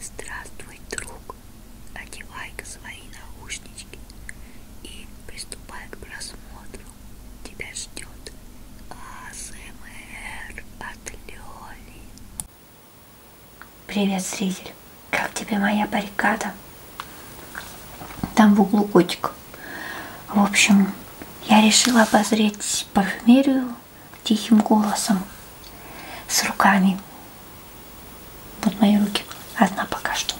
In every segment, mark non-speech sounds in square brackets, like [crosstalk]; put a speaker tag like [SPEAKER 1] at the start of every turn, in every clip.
[SPEAKER 1] Здравствуй, друг. Одевай-ка свои наушнички и приступай к просмотру. Тебя ждет АСМР от Лёли. Привет, зритель. Как тебе моя баррикада? Там в углу котик. В общем, я решила обозреть парфюмерию тихим голосом, с руками. Вот мои руки, одна пока что.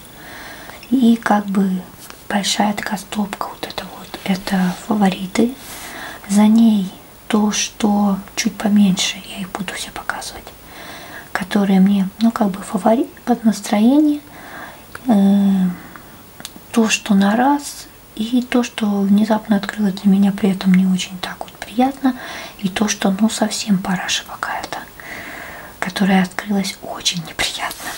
[SPEAKER 1] И как бы большая такая стопка вот это вот, это фавориты. За ней то, что чуть поменьше, я их буду все показывать, которые мне, ну как бы фаворит под настроение, э, то, что на раз, и то, что внезапно открыло для меня при этом не очень так так вот приятно. И то, что ну совсем параша какая-то, которая открылась очень неприятно.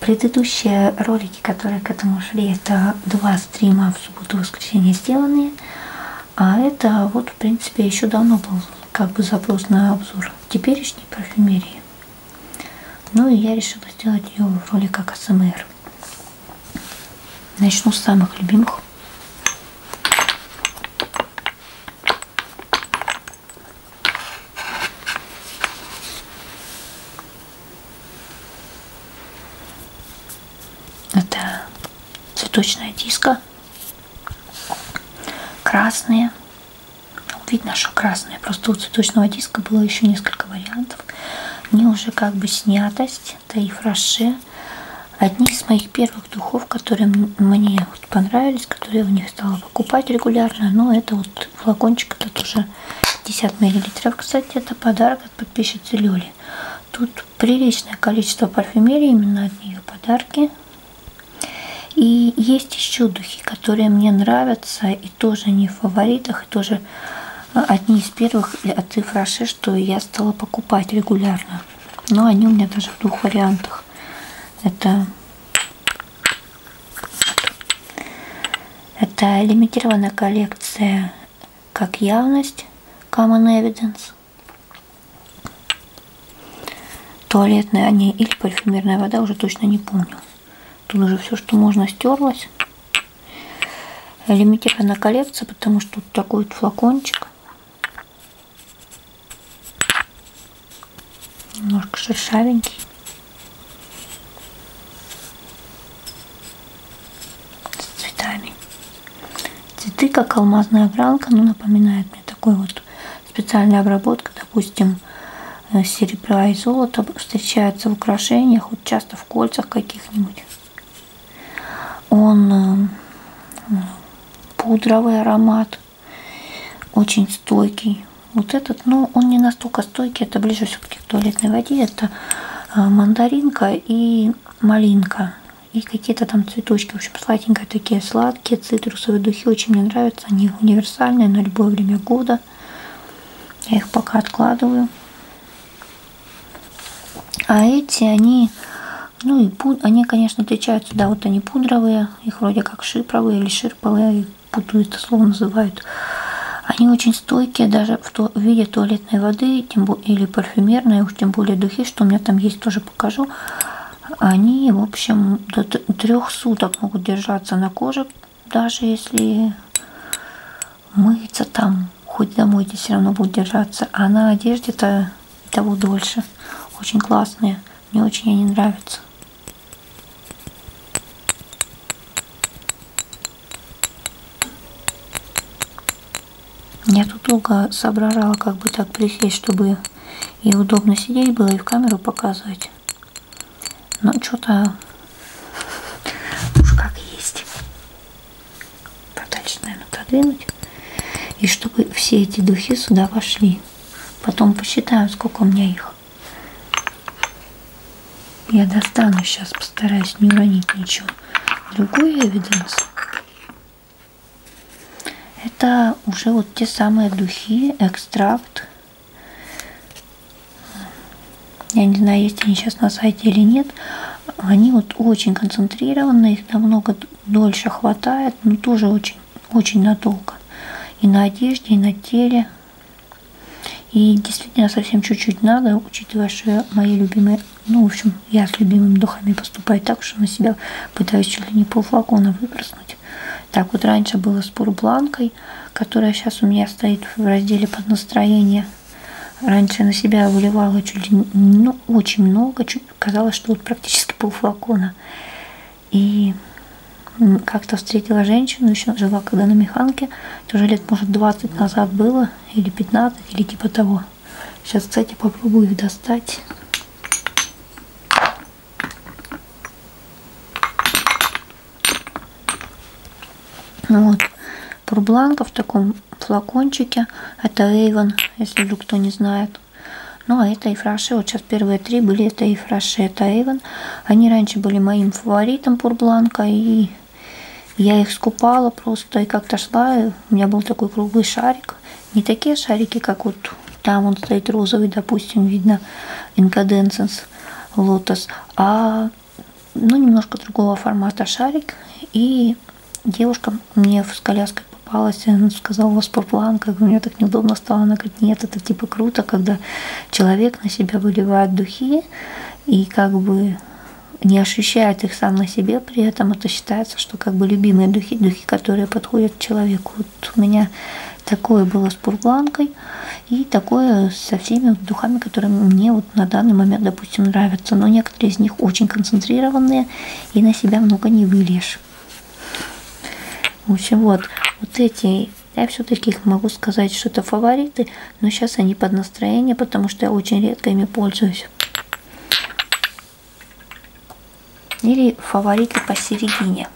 [SPEAKER 1] Предыдущие ролики, которые к этому шли, это два стрима в субботу и воскресенье сделанные. А это вот, в принципе, еще давно был как бы запрос на обзор теперешней парфюмерии. Ну и я решила сделать ее в роликах АСМР. Начну с самых любимых. Это цветочная диска. Красные. Ну, Видно, что красные. Просто у цветочного диска было еще несколько вариантов. Не уже как бы снятость это и фраше. Одни из моих первых духов, которые мне вот понравились, которые я в них стала покупать регулярно. Но ну, это вот флакончик, это тоже 50 мл. Кстати, это подарок от подписчицы Лёли. Тут приличное количество парфюмерии, именно от нее подарки. И есть еще духи, которые мне нравятся, и тоже не в фаворитах, и тоже одни из первых от Ифраши, что я стала покупать регулярно. Но они у меня даже в двух вариантах. Это, это лимитированная коллекция как явность, common evidence, туалетная они или парфюмерная вода, уже точно не помню. Тут уже все, что можно, стерлось. Лимитированная коллекция, потому что тут такой вот флакончик. Немножко шершавенький. С цветами. Цветы как алмазная гранка, но ну, напоминает мне такой вот специальная обработка, допустим, э, серебра и золота встречаются в украшениях, вот часто в кольцах каких-нибудь. Он э, пудровый аромат, очень стойкий. Вот этот, но ну, он не настолько стойкий, это ближе все-таки к туалетной воде. Это э, мандаринка и малинка. И какие-то там цветочки. В общем, сладенькие такие, сладкие, цитрусовые духи. Очень мне нравятся. Они универсальные на любое время года. Я их пока откладываю. А эти, они, ну и пуд... они, конечно, отличаются, да, вот они пудровые, их вроде как шипровые или ширповые, путаю это слово называют. Они очень стойкие даже в, то, в виде туалетной воды тем, бо... или парфюмерной, уж тем более духи, что у меня там есть, тоже покажу. Они, в общем, до трех суток могут держаться на коже, даже если мыться там хоть домой здесь все равно будут держаться. А на одежде-то и того дольше. Очень классные. Мне очень они нравятся. Я тут долго соображала, как бы так присесть, чтобы и удобно сидеть было, и в камеру показывать. Но что-то уж как есть подальше, наверное, продвинуть. И чтобы все эти духи сюда вошли. Потом посчитаем, сколько у меня их. Я достану сейчас, постараюсь не уронить ничего. Другой эвиденс. Это уже вот те самые духи, экстракт. Я не знаю, есть они сейчас на сайте или нет. Они вот очень концентрированы, их намного дольше хватает, но тоже очень, очень надолго. И на одежде, и на теле. И действительно совсем чуть-чуть надо, учитывая, что мои любимые, ну, в общем, я с любимыми духами поступаю так, что на себя пытаюсь чуть ли не полфлакона выброснуть. Так вот раньше было с пурбланкой, которая сейчас у меня стоит в разделе под настроение – Раньше на себя выливала чуть ну, очень много, чуть казалось, что вот практически полфлакона. И как-то встретила женщину, еще жила когда на Механке, тоже лет, может, 20 назад было, или 15, или типа того. Сейчас, кстати, попробую их достать. Ну вот. Пурбланка в таком флакончике. Это Avon, если вдруг кто не знает. Ну, а это Ифраше. Вот сейчас первые три были. Это Ифраше, это Avon. Они раньше были моим фаворитом Пурбланка. И я их скупала просто. И как-то шла. И у меня был такой круглый шарик. Не такие шарики, как вот там он стоит розовый, допустим, видно инкаденсенс лотос. А ну, немножко другого формата шарик. И девушка мне с коляской попалась, она сказала, у вас поплан, как мне так неудобно стало. Она говорит, нет, это типа круто, когда человек на себя выливает духи и как бы не ощущает их сам на себе, при этом это считается, что как бы любимые духи, духи, которые подходят человеку. Вот у меня такое было с пургланкой и такое со всеми духами, которые мне вот на данный момент, допустим, нравятся. Но некоторые из них очень концентрированные, и на себя много не выльешь. В общем, вот, вот эти, я все-таки их могу сказать, что это фавориты, но сейчас они под настроение, потому что я очень редко ими пользуюсь. Или фавориты посередине.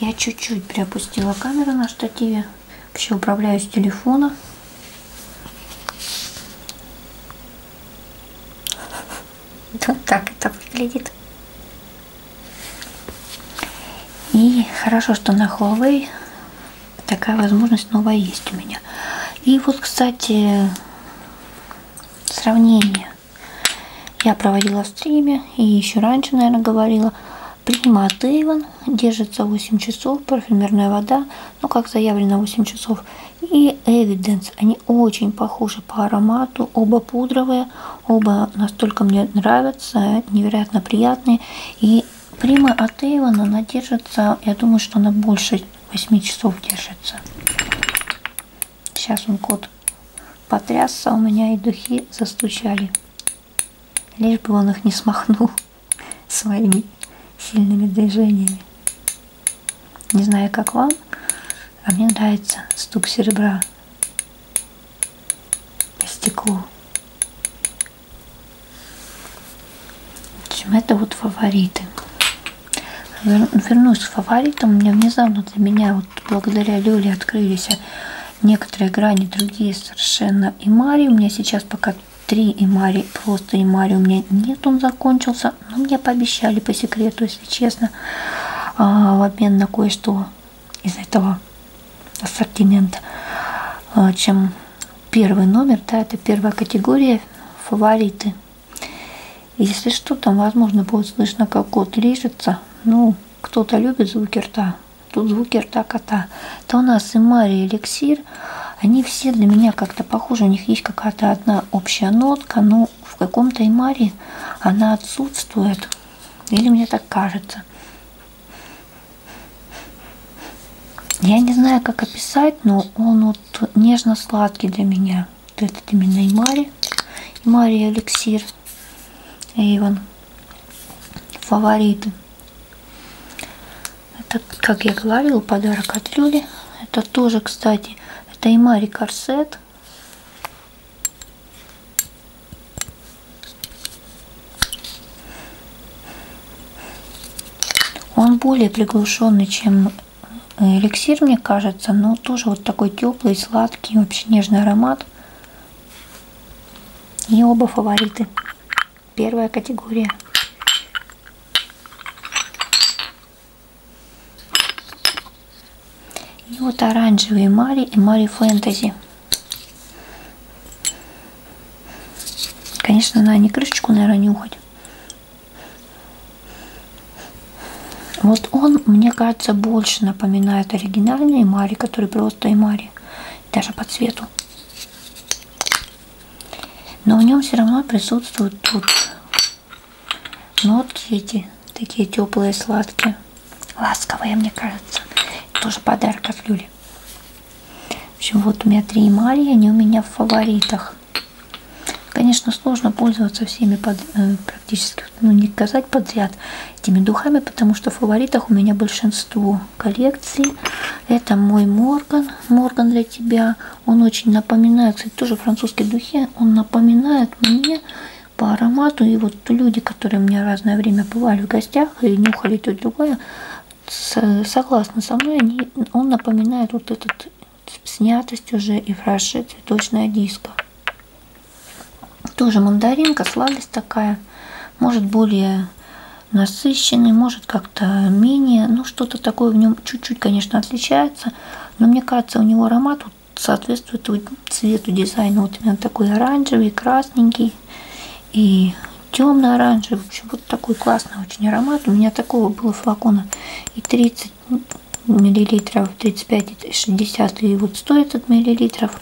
[SPEAKER 1] Я чуть-чуть приопустила камеру на штативе. Вообще управляю с телефона. Вот так это выглядит. И хорошо, что на Huawei такая возможность новая есть у меня. И вот, кстати, сравнение которые я проводила в стриме и еще раньше, наверное, говорила. Принимает а Эйвен, держится 8 часов, парфюмерная вода, ну как заявлено 8 часов. И Эвиденс, они очень похожи по аромату, оба пудровые, оба настолько мне нравятся, невероятно приятные. И прима от Эйвен, она держится, я думаю, что она больше 8 часов держится. Сейчас он кот потрясся у меня, и духи застучали. Лишь бы он их не смахнул [laughs] своими сильными движениями. Не знаю, как вам, а мне нравится стук серебра по стеклу. В общем, это вот фавориты вернусь к фаворитам. У меня внезапно для меня, вот благодаря Лёле, открылись некоторые грани, другие совершенно. И Мари у меня сейчас пока три Имари, просто Имари у меня нет, он закончился. Но мне пообещали по секрету, если честно, а, в обмен на кое-что из этого ассортимента, а, чем первый номер, да, это первая категория фавориты если что, там, возможно, будет слышно, как кот лежится. Ну, кто-то любит звуки рта, тут звуки рта кота. То у нас и Мария, и эликсир, они все для меня как-то похожи. У них есть какая-то одна общая нотка, но ну, в каком-то и Марии она отсутствует. Или мне так кажется. Я не знаю, как описать, но он вот нежно-сладкий для меня вот этот именно Имари. Имари эликсир. Эйвен. Фавориты. Это, как я говорила, подарок от Люли. Это тоже, кстати, это Имари корсет. Он более приглушенный, чем эликсир, мне кажется, но тоже вот такой теплый, сладкий, вообще нежный аромат. И оба фавориты. Первая категория. И вот оранжевые Мари и Мари Фэнтези. Конечно, надо не крышечку, наверное, нюхать. Вот он, мне кажется, больше напоминает оригинальный Мари, который просто и Мари, даже по цвету. Но в нем все равно присутствуют тут нотки эти, такие теплые, сладкие, ласковые, мне кажется. Тоже подарок от Люли. В общем, вот у меня три Мари, они у меня в фаворитах. Конечно, сложно пользоваться всеми под, э, практически, ну не сказать подряд этими духами, потому что в фаворитах у меня большинство коллекций. Это мой Морган, Морган для тебя. Он очень напоминает, кстати, тоже французские духи, он напоминает мне по аромату. И вот люди, которые у меня разное время бывали в гостях и нюхали то и другое, согласны со мной, они, он напоминает вот этот снятость уже и фраше цветочная диска. Тоже мандаринка, сладость такая. Может более насыщенный, может как-то менее. Ну, что-то такое в нем чуть-чуть, конечно, отличается. Но мне кажется, у него аромат вот соответствует цвету дизайна. Вот именно такой оранжевый, красненький и темно-оранжевый. В общем, вот такой классный очень аромат. У меня такого было флакона и 30, 30 миллилитров, 35,60 и вот 100 этот миллилитров.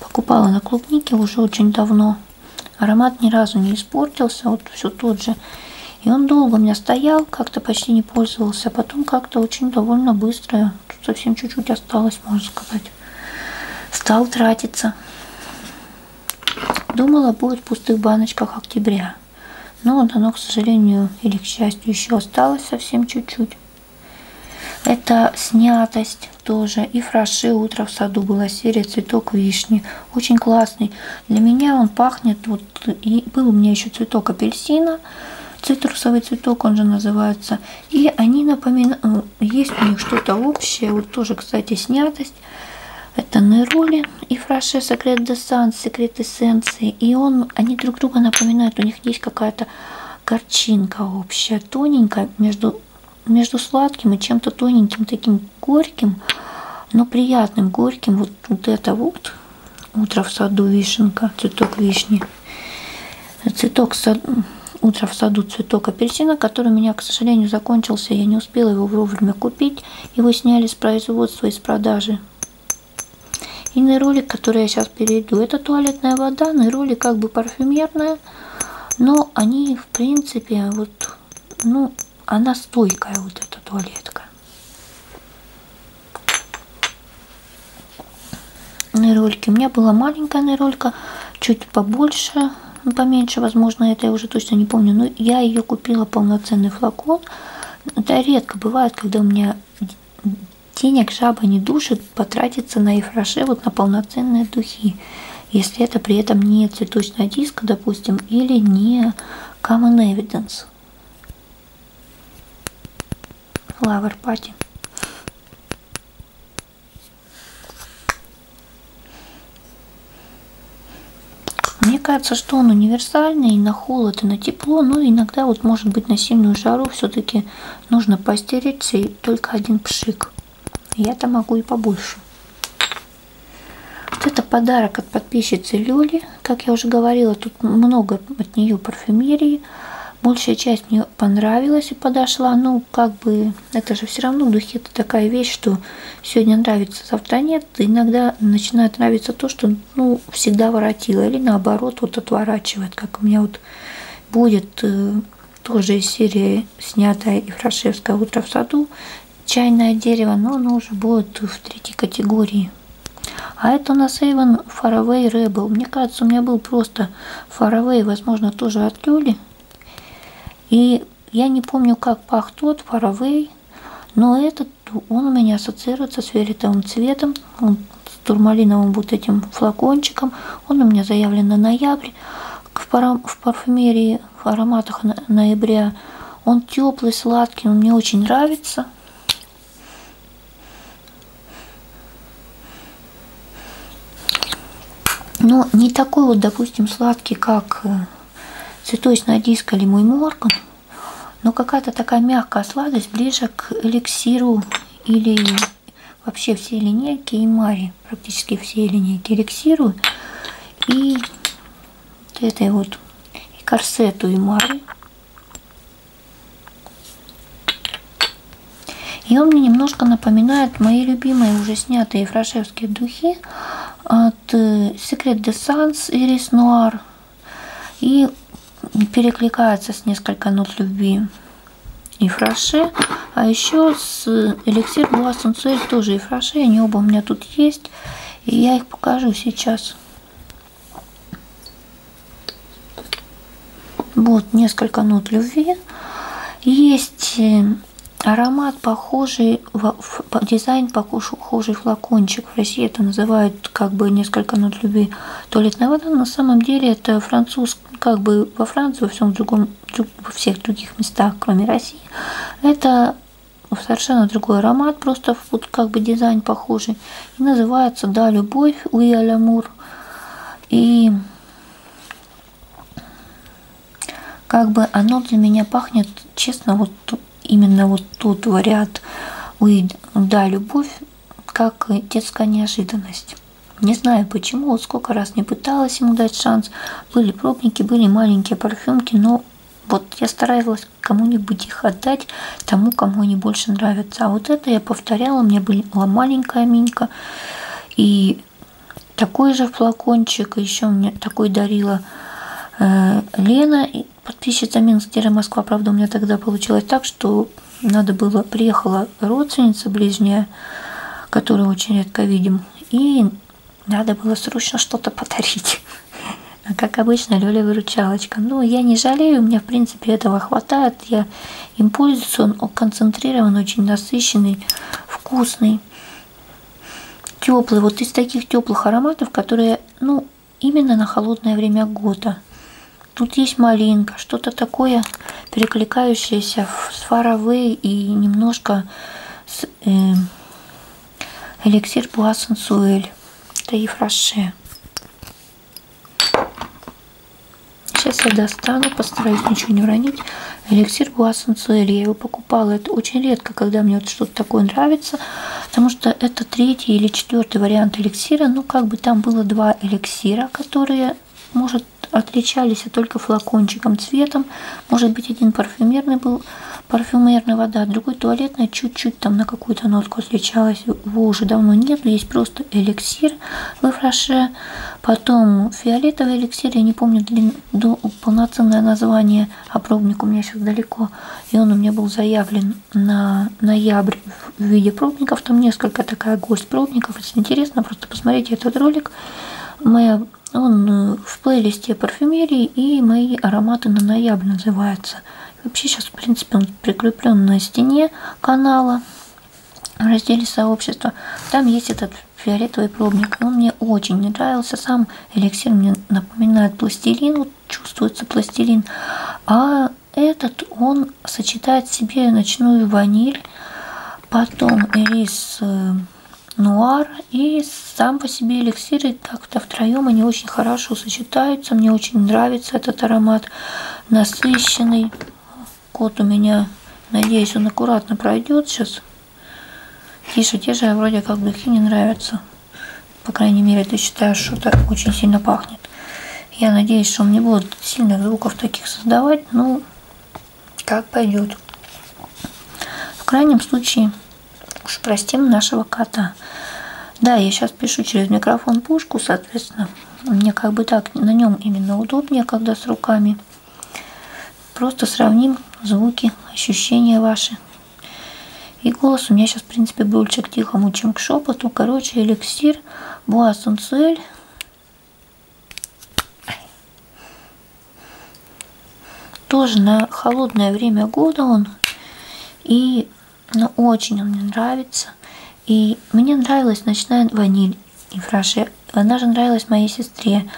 [SPEAKER 1] Покупала на клубнике уже очень давно. Аромат ни разу не испортился, вот все тот же. И он долго у меня стоял, как-то почти не пользовался. А потом как-то очень довольно быстро, тут совсем чуть-чуть осталось, можно сказать, стал тратиться. Думала, будет в пустых баночках октября. Но оно, к сожалению или к счастью, еще осталось совсем чуть-чуть. Это снятость тоже. И фраше утро в саду была серия цветок вишни. Очень классный. Для меня он пахнет. Вот, и был у меня еще цветок апельсина. Цитрусовый цветок, он же называется. И они напоминают, э, есть у них что-то общее. Вот тоже, кстати, снятость. Это Нероли и фраше Секрет Десанс, Секрет Эссенции. И он, они друг друга напоминают. У них них есть какая-то горчинка общая, тоненькая, между, между сладким и чем-то тоненьким, таким горьким, но приятным, горьким. Вот, вот это вот утро в саду вишенка, цветок вишни. Цветок сад... утро в саду цветок апельсина, который у меня, к сожалению, закончился. Я не успела его вовремя купить. Его сняли с производства, из продажи. И нейролик, который я сейчас перейду, это туалетная вода, нейролик как бы парфюмерная, но они, в принципе, вот, ну, она стойкая, вот эта туалетка. Нейрольки. У меня была маленькая нейролька, чуть побольше, ну, поменьше, возможно, это я уже точно не помню, но я ее купила полноценный флакон. Это редко бывает, когда у меня денег жаба не душит потратиться на ифраше вот на полноценные духи, если это при этом не цветочная диска, допустим, или не common evidence. Flower Party. Мне кажется, что он универсальный и на холод, и на тепло, но иногда вот может быть на сильную жару все-таки времени нужно постеречься и только один пшик. Я-то могу и побольше. Вот это подарок от подписчицы Люли. Как я уже говорила, тут много от нее парфюмерии. Большая часть мне понравилась и подошла. Ну, как бы, это же все равно в духе это такая вещь, что сегодня нравится, завтра нет. Иногда начинает нравиться то, что, ну, ну, всегда воротила. Или наоборот, вот отворачивает, как у меня вот будет э, тоже из серии снятая Ефрашевское «Утро в саду», чайное дерево, но оно уже будет в третьей категории. А это у нас Эйвен Faraway Rebel. Мне кажется, у меня был просто Faraway, возможно, тоже от Люли. И я не помню, как пах тот Faraway, но этот, он у меня ассоциируется с фиолетовым цветом флакон он с турмалиновым вот этим флакончиком. Он у меня заявлен на ноябрь. В, парам, в парфюмерии, в ароматах на, ноября. Он теплый, сладкий, он мне очень нравится. Но не такой вот, допустим, сладкий, как э, цветочная диска или мой морган, но какая-то такая мягкая сладость ближе к эликсиру или вообще все линейки и Мари, практически все линейки рексирую. И вот этой вот и корсету и Мари. И он мне немножко напоминает мои любимые уже снятые фрашевские духи от Secret Dessence Iris Noir и перекликается с несколько нот любви и фраше. А еще с эликсир Блуа Сенсуэль тоже и фраше. Они оба у меня тут есть. И я их покажу сейчас. Вот несколько нот любви. Есть э, аромат похожий, в, в, дизайн похожий флакончик. В России это называют вот как бы несколько нот любви. Туалетная вода на самом деле это француз, как бы во Франции, во всем другом, во всех других местах, кроме России, это совершенно другой аромат, просто вот как бы дизайн похожий. И называется, да, любовь, уи алямур. И как бы оно для меня пахнет, честно, вот именно вот тот вариант, уи, да, любовь, как детская неожиданность. Не знаю почему, вот сколько раз не пыталась ему дать шанс. Были пробники, были маленькие парфюмки, но вот я старалась кому-нибудь их отдать, тому, кому они больше нравятся. А вот это я повторяла, у меня была маленькая минька, и такой же флакончик, еще мне такой дарила э, Лена, подписчица Минстера Москва. Правда, у меня тогда получилось так, что надо было, приехала родственница ближняя, которую очень редко видим, и надо было срочно что-то подарить. А как обычно, Лёля выручалочка. Ну, я не жалею, мне, в принципе, этого хватает. Я им пользуюсь, он концентрирован, очень насыщенный, вкусный, теплый. Вот из таких теплых ароматов, которые, ну, именно на холодное время года. Тут есть малинка, что-то такое перекликающееся с фаровой и немножко с э, эликсир Буассенсуэль. Это и фраше. Сейчас я достану, постараюсь ничего не уронить. Эликсир Буассенсуэль, я его покупала. Это очень редко, когда мне вот что-то такое нравится, потому что это три третий или четвертый вариант эликсира, ну как бы там было два эликсира, которые, может, отличались а только флакончиком, цветом. Может быть, один парфюмерный был, парфюмерная вода, а другой туалетная, чуть-чуть там на какую-то нотку отличалась. Его уже давно нет, есть просто эликсир в фраше. Потом фиолетовый эликсир, я не помню длин, до, полноценное название, а пробник у меня сейчас далеко. И он у меня был заявлен на ноябрь в виде пробников. Там несколько такая гость пробников. Если интересно, просто посмотрите этот ролик. Моя, он в плейлисте парфюмерии и мои ароматы на ноябрь называется. Вообще сейчас, в принципе, он прикреплен на стене канала в разделе сообщества. Там есть этот фиолетовый пробник. Он мне очень не нравился. Сам эликсир мне напоминает пластилин. Вот чувствуется пластилин. А этот он сочетает в себе ночную ваниль, потом рис э, нуар и сам по себе эликсиры так-то втроем они очень хорошо сочетаются. Мне очень нравится этот аромат, насыщенный. Кот у меня, надеюсь, он аккуратно пройдет сейчас. Тише, тише, вроде как духи не нравятся. По крайней мере, ты считаешь, что так очень сильно пахнет. Я надеюсь, что он не будет сильных звуков таких создавать, но ну, как пойдет. В крайнем случае, уж простим нашего кота. Да, я сейчас пишу через микрофон пушку, соответственно, мне как бы так на нем именно удобнее, когда с руками. Просто сравним звуки, ощущения ваши. И голос у меня сейчас, в принципе, больше к тихому, чем к шепоту. Короче, эликсир Буа Сунцель тоже на холодное время года он. И ну, очень он мне нравится. И мне нравилась ночная ваниль и фраше. Она же нравилась моей сестре,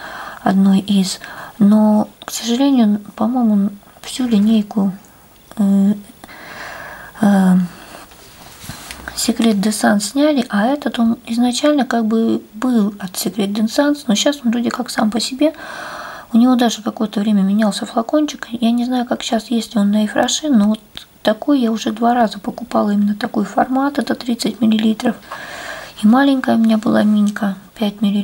[SPEAKER 1] одной из. Но, к сожалению, по-моему, всю линейку э, э, Секрет Десант сняли, а этот он изначально как бы был от Секрет Десант, но сейчас он вроде как сам по себе. У него даже какое-то время менялся флакончик. Я не знаю, как сейчас, есть ли он на Эйфраше, но вот такой я уже два раза покупала именно такой формат, это 30 мл. И маленькая у меня была минька, 5 мл.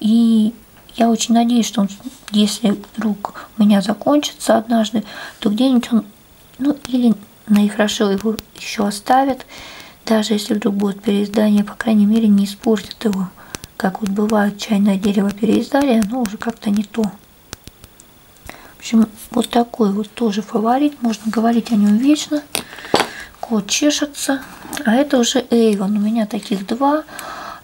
[SPEAKER 1] И я очень надеюсь, что он, если вдруг у меня закончится однажды, то где-нибудь он ну или наихорошо его еще оставят, даже если вдруг будет переиздание, по крайней мере не испортят его. Как вот бывает, чайное дерево переиздали, оно уже как-то не то. В общем, вот такой вот тоже фаворит. Можно говорить о нем вечно. Кот чешется. А это уже Эйвон. У меня таких два.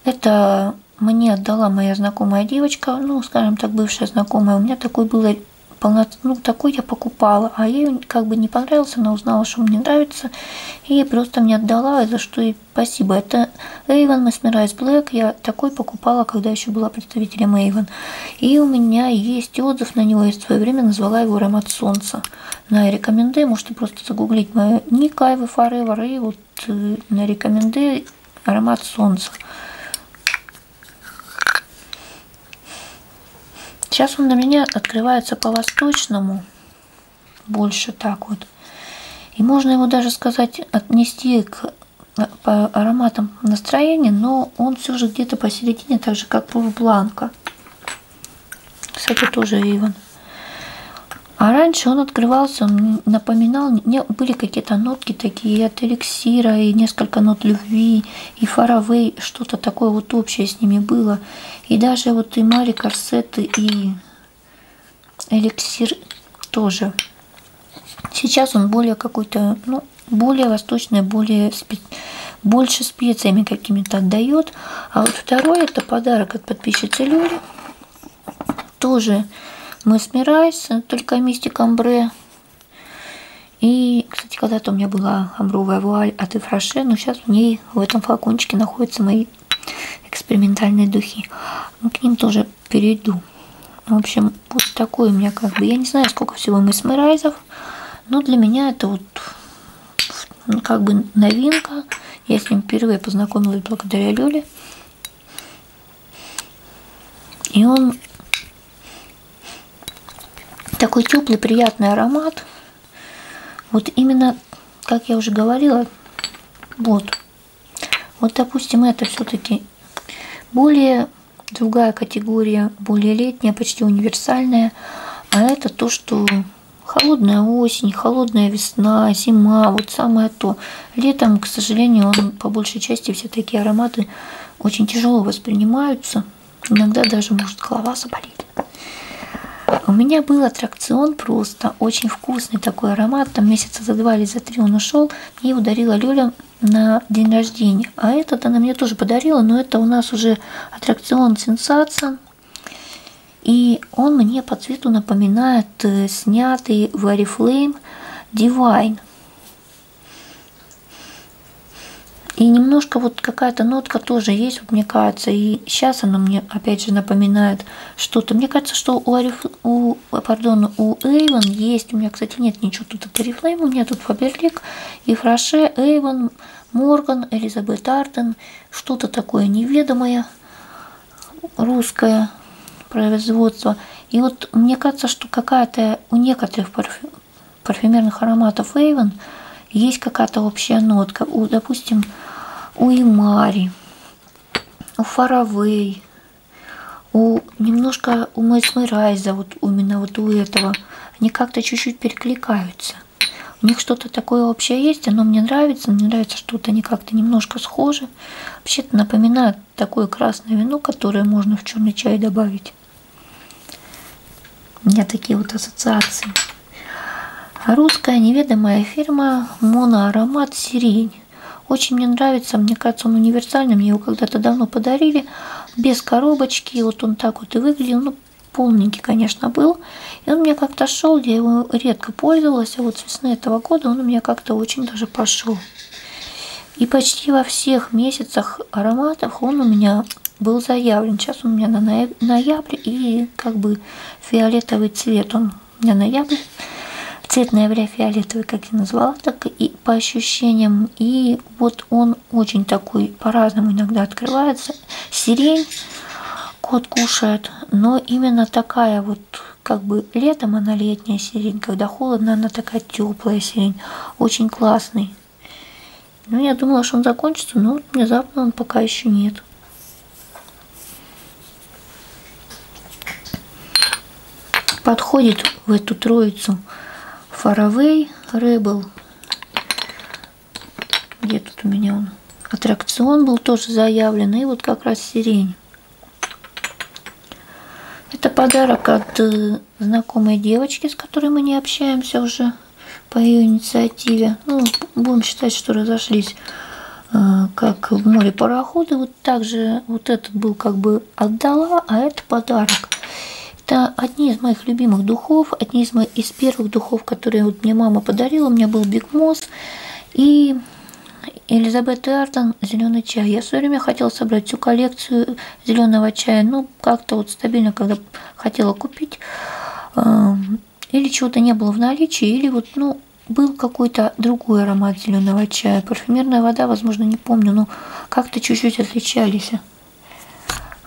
[SPEAKER 1] Это мне отдала моя знакомая девочка, ну, скажем так, бывшая хорошая знакомая, у меня такой было полно... ну, такой я покупала, а ей как бы не понравился, она узнала, что мне нравится, и просто мне отдала, и за что ей спасибо. Это Avon Mesmerize Black, я такой покупала, когда еще была представителем Avon. И у меня есть отзыв на него, я в свое время назвала его «Аромат солнца». На рекоменде, можете просто загуглить мою ник Айвы Forever, и вот э, на рекоменде «Аромат солнца». Сейчас он на меня открывается по-восточному, больше так вот. И можно его даже сказать, отнести к по ароматам настроения, но он все же где-то посередине, так же как Пуф Бланка. Кстати, тоже Иван. А раньше он открывался напоминал, не, были какие-то нотки такие от эликсира, и несколько нот любви, и фаровей, что-то такое вот общее с ними было. И даже вот и Мари корсеты, и эликсир тоже. Сейчас он более какой-то, ну, более восточный, более спе... больше специями какими-то отдает. А вот второй это подарок от подписчицы Люли. Тоже мы смирайся, только мистик амбре и, кстати, когда-то у меня была амбровая вуаль от Ифраше, но сейчас в ней, в этом флакончике находятся мои экспериментальные духи. Ну, к ним тоже перейду. Ну, в общем, вот такой у меня как бы, я не знаю, сколько всего месмерайзов, но для меня это вот ну, как бы новинка. Я с ним впервые познакомилась благодаря Лёле. И он такой теплый, приятный аромат. Вот именно, как я уже говорила, вот. Вот, допустим, это все-таки более другая категория, более летняя, почти универсальная. А это то, что холодная осень, холодная весна, зима, вот самое то. Летом, к сожалению, он по большей части все такие ароматы очень тяжело воспринимаются. Иногда даже может голова заболеть. У меня был аттракцион просто, очень вкусный такой аромат. Там месяца за два или за три он ушел. Мне его дарила Лёля на день рождения. А этот она мне тоже подарила, но это у нас уже аттракцион «Сенсация». И он мне по цвету напоминает э, снятый в Oriflame Divine. И немножко вот какая-то нотка тоже есть, вот мне кажется. И сейчас она мне опять же напоминает что-то. Мне кажется, что у, Ариф... у... Пардон, у Эйвен есть. У меня, кстати, нет ничего тут от Арифлейм. У меня тут Фаберлик и Фраше, Эйвен, Морган, Элизабет Артен. Что-то такое неведомое, русское производства. И вот мне кажется, что какая-то у некоторых парфю... парфюмерных ароматов Эйвен есть какая-то общая нотка. У, допустим, у Имари, у Фаравей, у немножко у Месмерайза, вот именно вот у этого, они как-то чуть-чуть перекликаются. У них что-то такое общее есть, оно мне нравится, мне нравится, что вот они как-то немножко схожи. Вообще-то напоминают такое красное вино, которое можно в черный чай добавить. У меня такие вот ассоциации. Русская неведомая фирма Моноаромат Сирень. Очень мне нравится, мне кажется, он универсальный, мне его когда-то давно подарили, без коробочки, вот он так вот и выглядел, ну, полненький, конечно, был. И он мне как-то шел, я его редко пользовалась, а вот с весны этого года он у меня как-то очень даже пошел. И почти во всех месяцах ароматов он у меня был заявлен. Сейчас у меня на ноябрь и как бы фиолетовый цвет. Он у меня ноябрь. Цвет ноября фиолетовый, как я назвала, так и по ощущениям. И вот он очень такой, по-разному иногда открывается. Сирень кот кушает, но именно такая вот, как бы летом она летит летняя сирень. Когда холодно, она такая теплая сирень. Очень классный. Ну, я думала, что он закончится, но внезапно он пока еще нет. Подходит в эту троицу Фаравей, Рэбл. Где тут у меня он? Аттракцион был тоже заявлен. И вот как раз сирень. Это подарок от э, знакомой девочки, с которой мы не общаемся уже по ее инициативе. Ну, будем считать, что разошлись э, как в море пароходы. Вот также вот этот был как бы отдала, а это подарок. Это одни из моих любимых духов, одни из, моих, из первых духов, которые вот мне мама подарила. У меня был Биг Мосс и Элизабет Арден «Зеленый чай». Я все время хотела собрать всю коллекцию зеленого чая, ну, как-то вот стабильно, когда хотела купить, эм, или чего-то не было в наличии, или вот, ну, был какой-то другой аромат зеленого чая. Парфюмерная вода, возможно, не помню, но как-то чуть-чуть отличались.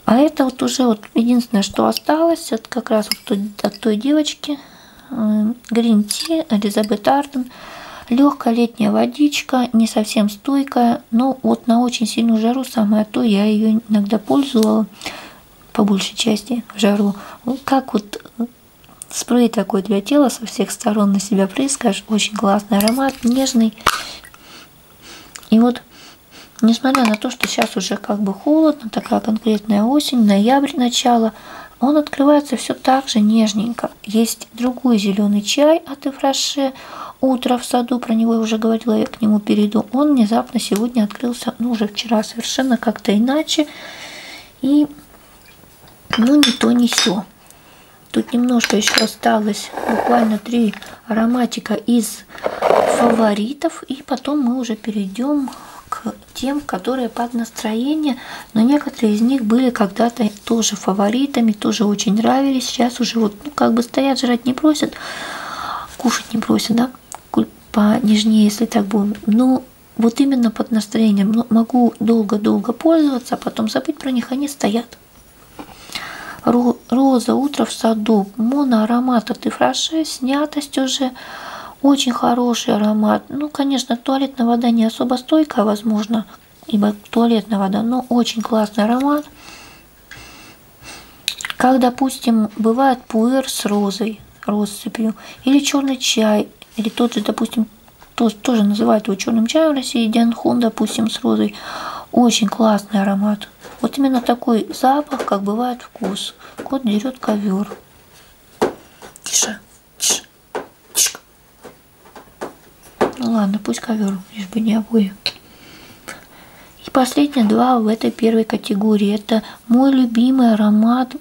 [SPEAKER 1] А это вот уже вот единственное, что осталось, это как раз вот от той девочки. Грин э, Ти, Элизабет Арден. Легкая летняя водичка, не совсем прям стойкая, но вот на очень сильную жару самое а то, я ее иногда пользовала, по большей части, в жару. Ну, как вот э, спрей такой для тела, со всех сторон на себя прыскаешь, очень классный аромат, нежный. И вот, несмотря на то, что сейчас уже как бы холодно, такая конкретная осень, ноябрь, начало, он открывается все так же нежненько. Есть есть другой зеленый чай от Ифраше. Утро в саду, про него я уже говорила, я к нему перейду. Он внезапно сегодня открылся, ну уже вчера совершенно как-то иначе. И ну не то, не все. Тут немножко еще осталось, буквально три ароматика из фаворитов. И потом мы уже перейдем к тем, которые под настроение, но некоторые из них были когда-то тоже фаворитами, тоже очень нравились. Сейчас уже вот, ну, как бы стоят, жрать не просят, кушать не просят, да, понежнее, если так будем. Но вот именно под настроением ну, могу долго-долго пользоваться, а потом забыть про них, они стоят. Роза, утро в саду, моноаромат от Ифраше, снятость уже, очень хороший аромат. Ну, конечно, туалетная вода не особо стойкая, возможно, ибо туалетная вода, но ну, очень классный аромат. Как, допустим, бывает пуэр с розой, россыпью, или черный чай, или тот же, допустим, то, тоже называют его черным чаем в России, Дианхун, допустим, с розой. Очень классный аромат. Вот именно такой запах, как бывает вкус. Кот дерет ковер. Тише. Тише. Тише. Ну ладно, пусть ковер, лишь бы не обои. И последние два в этой первой категории. Это мой любимый аромат.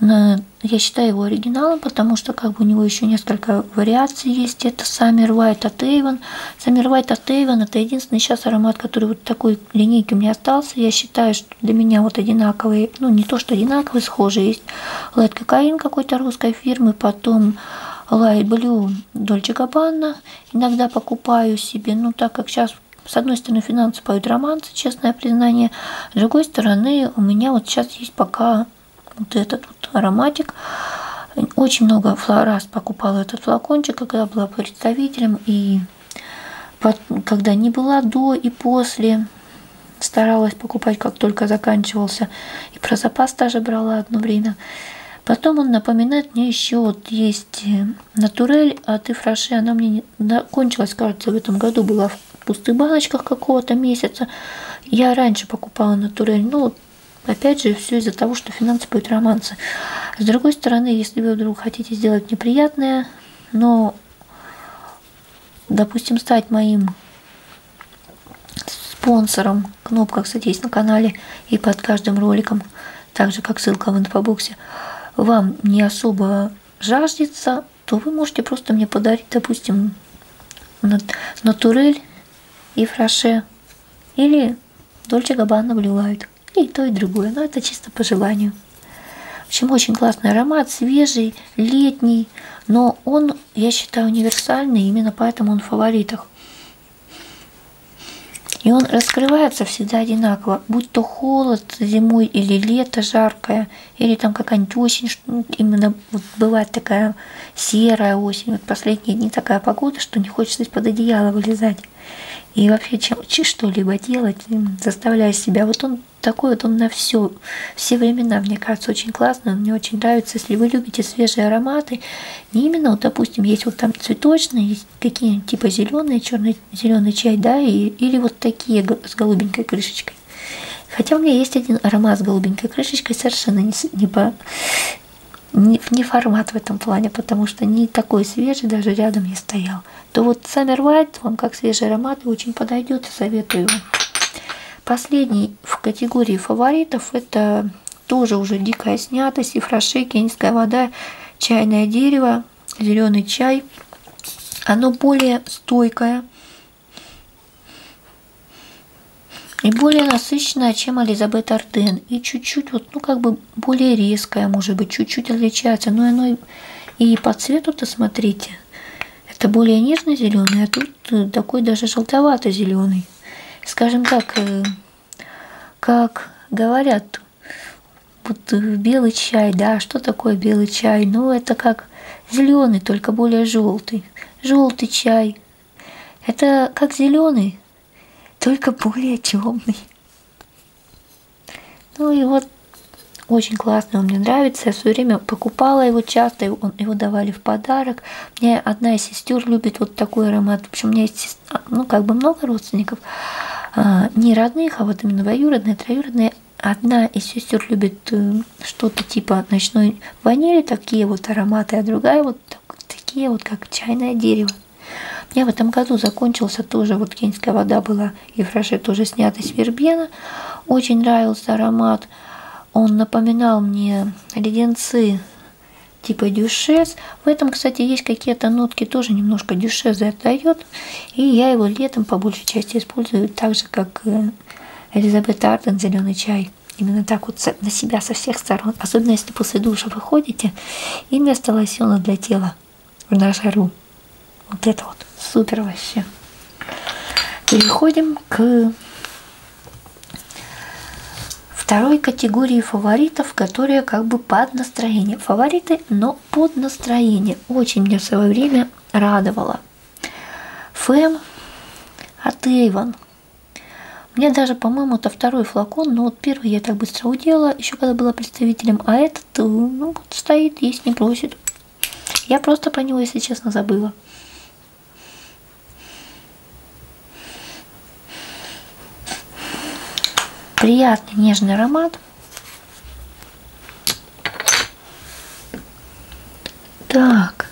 [SPEAKER 1] Э, я считаю его оригиналом, потому что как бы у него еще несколько вариаций есть. Это Саммер White от Avon. Саммер White от Avon это единственный сейчас аромат, который вот такой линейки у меня остался. Я считаю, что для меня вот одинаковые, ну не то что одинаковые, схожие есть. Light кокаин какой-то русской этой фирмы, потом Light Blue Dolce Gabbana. Иногда покупаю себе, ну так как сейчас с одной стороны, финансы поют романсы, честное признание. С другой стороны, у меня вот сейчас есть пока вот этот вот ароматик. Очень много раз покупала этот флакончик, когда была представителем, и когда не была до и после. Старалась покупать, как только заканчивался и про запас даже брала одно время. Потом он напоминает мне еще, вот есть э, натурель от а Ифраши, она мне не... Да, кончилась, кажется, в этом году была в пустых баночках какого-то месяца. Я раньше покупала натурель, ну, опять же, все из-за того, что финансы будут романсы. С другой стороны, если вы вдруг хотите сделать неприятное, но, допустим, стать моим спонсором. Кнопка, кстати, есть на канале и под каждым роликом, так же как ссылка в инфобоксе. Вам не особо жаждется, то вы можете просто мне подарить, допустим, натурель и фраше или Дольче Габбана Блю Лайт. И то, и другое, но это чисто по желанию. В общем, очень классный аромат, свежий, летний, но он, я считаю, универсальный, именно поэтому он в фаворитах других. И он раскрывается всегда одинаково, будь то холод зимой или лето жаркое, или там какая-нибудь осень, ну, именно вот бывает такая серая осень, вот последние дни такая погода, что не хочется из-под одеяла вылезать. И вообще чем, что-либо делать, заставляя себя. Вот он такой вот, он на все, все времена, мне кажется, очень классный, он мне очень нравится. Если вы любите свежие ароматы, варианты. Не именно, вот, допустим, есть вот там цветочные, есть какие типа зеленые, черный, зеленый чай, да, и, или вот такие с голубенькой крышечкой. Хотя у меня есть один аромат с голубенькой крышечкой, совершенно не, не, по, не, не формат в этом плане, потому что не такой свежий, даже рядом не стоял. То вот Summer White вам как свежий аромат и очень подойдет, советую вам. Последний в категории фаворитов это тоже уже дикая снятость, ифраше, кенийская вода, чайное дерево, зеленый чай. Оно более стойкое и более насыщенное, чем Элизабет Арден. И чуть-чуть, вот, ну, как бы более резкое, может быть, чуть-чуть отличается. Но оно и, и по цвету-то, смотрите, это более нежно зеленый, а тут ну, такой даже желтовато-зеленый. Скажем так, э, как говорят, вот э, белый чай, да, что такое белый чай? Ну, это как зеленый, только более желтый. Желтый чай. Это как зеленый, только более темный. Ну и вот очень классный, он мне нравится. Я все время покупала его часто, его, его давали в подарок. Мне одна из сестер любит вот такой аромат. В общем, у меня есть, ну, как бы много родственников, а, не родных, а вот именно двоюродные, троюродные. Одна из сестер любит э, что-то типа ночной ванили, такие вот ароматы, а другая вот такие вот, как чайное дерево. У меня в этом году закончился тоже, вот кенская вода была, и фраше тоже снята с вербена. Очень нравился аромат. Он напоминал мне леденцы типа дюшес. В этом, кстати, есть какие-то нотки, тоже немножко дюшес отдает. И я его летом по большей части использую так же, как э, Элизабет Арден зеленый чай. Именно так вот на себя со всех сторон. Особенно если после душа выходите и вместо лосьона для тела на жару. Вот это вот супер вообще. Переходим к Второй категории фаворитов, которые как бы под настроение. Фавориты, но под настроение. Очень меня в свое время радовало. Фэм от Эйвон. Мне даже, по-моему, это второй флакон, но вот первый я так быстро удела, еще когда была представителем, а этот, э, ну, стоит, есть, не просит. Я просто про него, если честно, забыла. Приятный нежный аромат. Так,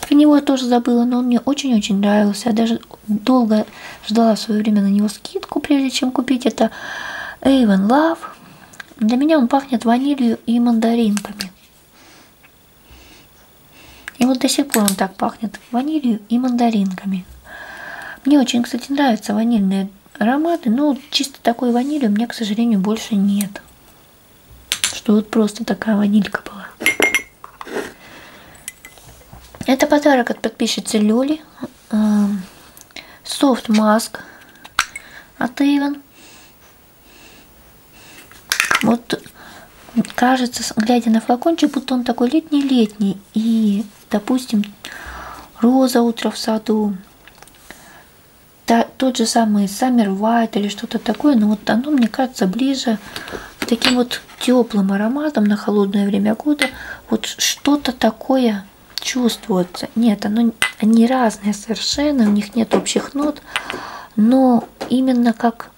[SPEAKER 1] про него я тоже забыла, но он мне очень-очень нравился. Я даже долго ждала в свое время на него скидку, прежде чем купить. Это Avon Love. Для меня он пахнет ванилью и мандаринками. И вот до сих пор он так пахнет ванилью и мандаринками. Мне очень, кстати, нравятся ванильные ароматы, но чисто такой ванили у меня, к сожалению, больше нет. Что вот просто такая ванилька была. Это подарок от подписчицы Люли. Софт эм, маск от Avon. Вот кажется, глядя на флакончик, будто он такой летний-летний. И, допустим, роза утро в саду, та, тот же самый Summer White или что-то такое, но вот оно, мне кажется, ближе к таким вот теплым ароматом на холодное время года. Вот что-то такое чувствуется. Нет, оно, они разные совершенно, у них нет общих нот, но именно как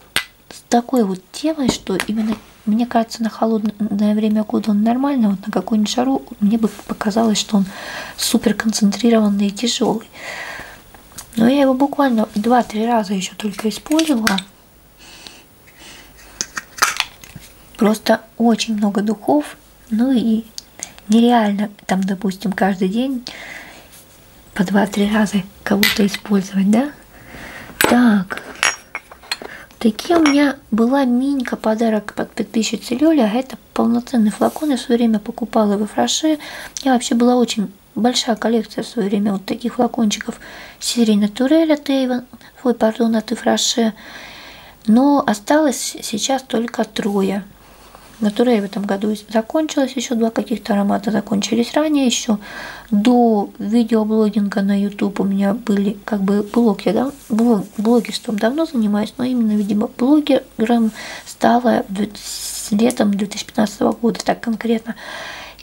[SPEAKER 1] с такой вот темой, что именно, мне кажется, на холодное время года он нормально, вот на какую-нибудь жару мне бы показалось, что он супер концентрированный и тяжелый. Но я его буквально 2-3 раза еще только использовала. Просто очень много духов, ну и нереально там, допустим, каждый день по два-три раза кого-то использовать, да? Так. Такие у меня была минька подарок под подписчице Лёля. А это полноценный флакон. Я в свое время покупала во фраше. У меня вообще была очень большая коллекция в свое время вот таких флакончиков. Серии Натурель от Эйвен. Ой, пардон, от Ифраше. Но осталось сейчас только трое. Натурель в этом году закончилась, еще два каких-то аромата закончились ранее еще до видеоблогинга на YouTube у меня были как бы блоги, да, блог, блогерством давно занимаюсь, но именно, видимо, блогером стала летом 2015 года, так конкретно.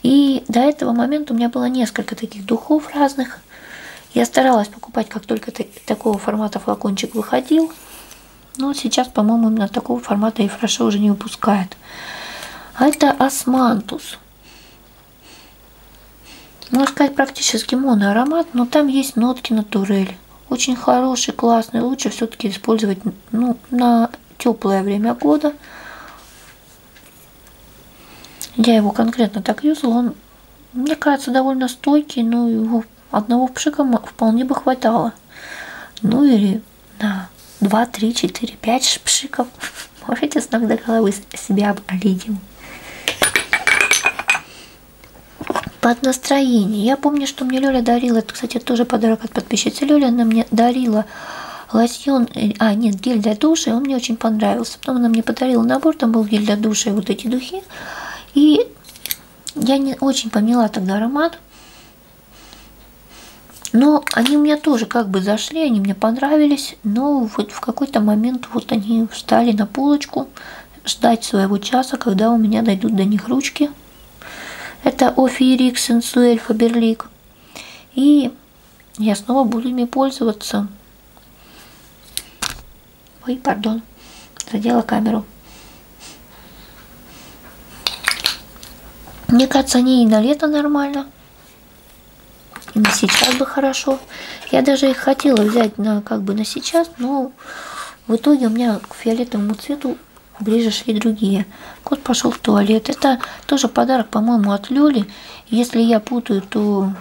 [SPEAKER 1] И до этого момента у меня было несколько таких духов разных. Я старалась покупать, как только такого формата флакончик выходил. Но сейчас, по-моему, именно такого формата и фроша уже не выпускает. А это османтус. Можно сказать, практически моноаромат, но там есть нотки натурели. Очень хороший, классный, лучше все-таки использовать ну, на теплое время года. Я его конкретно так юзала, он, мне кажется, довольно стойкий, но ну, его одного пшика вполне бы хватало. Ну или на 2, 3, 4, 5 пшиков можете с ног до головы себя оболидим. Под настроение. Я помню, что мне Лёля дарила, это, кстати, тоже подарок от подписчицы. Лёля она мне дарила лосьон, э, а, нет, гель для душа, и он мне очень понравился. Потом она мне подарила набор, там был гель для душа и вот эти духи. И я не очень поняла тогда аромат. Но они у меня тоже как бы зашли, они мне понравились, но вот в какой-то момент вот они встали на полочку ждать своего часа, когда у меня дойдут до них ручки. Это Офирик Сенсуэль Фаберлик. И я снова буду ими пользоваться. Ой, пардон, задела камеру. Мне кажется, они и на лето нормально. На сейчас бы хорошо. Я даже их хотела взять на как бы на сейчас, но в итоге у меня к фиолетовому цвету ближе шли другие. Кот пошел в туалет. Это тоже подарок, по-моему, от Лёли. Если я путаю, то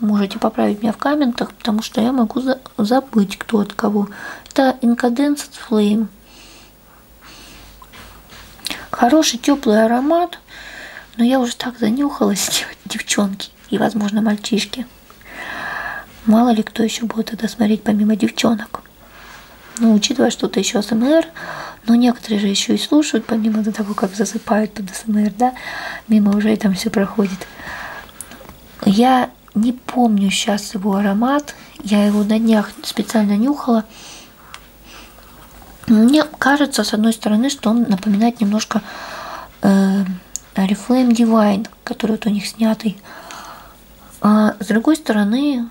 [SPEAKER 1] можете поправить меня в комментах, потому что я могу забыть, кто от кого. Это Incadence Flame. Хороший теплый аромат, но я уже так занюхалась, [laughs] девчонки и, возможно, мальчишки. Мало ли кто еще будет это смотреть помимо девчонок. Ну, учитывая, что это еще СМР, но некоторые же еще и слушают, помимо того, как засыпают под СМР, да, мимо уже и там все проходит. Я не помню сейчас его аромат, я его на днях специально нюхала, мне кажется, с одной стороны, что он напоминает немножко э, Reflame Divine, который вот у них снятый. А с другой стороны,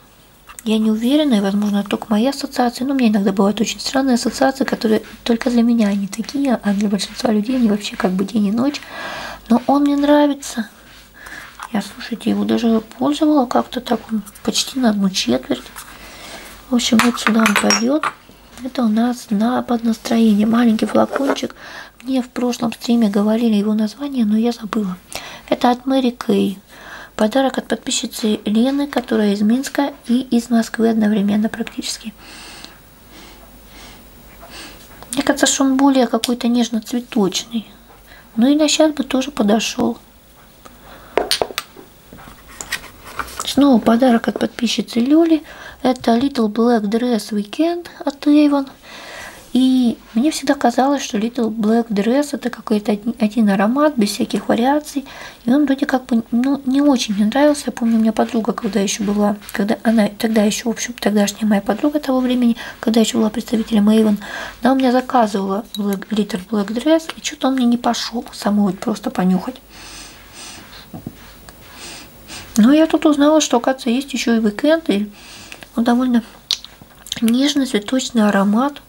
[SPEAKER 1] я не уверена, и, возможно, это только мои ассоциации, но у меня иногда бывают очень странные ассоциации, которые только для меня они такие, а для большинства людей они вообще как бы день и ночь. Но он мне нравится. Я, слушайте, его даже пользовала как-то так, он почти на одну четверть. В общем, вот сюда он пойдет. Это у нас на под настроение. Маленький флакончик. Мне в прошлом стриме говорили его название, но я забыла. Это от Мэри Кей. Подарок от подписчицы Лены, которая из Минска и из Москвы одновременно практически. Мне кажется, что он более какой-то нежно-цветочный. Ну и на сейчас бы тоже подошел. Снова подарок от подписчицы Люли. Это Little Black Dress Weekend от Avon. И мне всегда казалось, что Little Black Dress это какой-то один аромат, без всяких вариаций. И он вроде как бы ну, не очень мне нравился. Я помню, у меня подруга, когда еще была, когда она тогда еще, в общем, тогдашняя моя подруга того времени, когда еще была представителем Эйвен, она у меня заказывала Black, литр Black Dress, и что-то он мне не пошел, самой вот просто понюхать. Но я тут узнала, что, оказывается, есть еще и уикенд, и он довольно нежный цветочный аромат.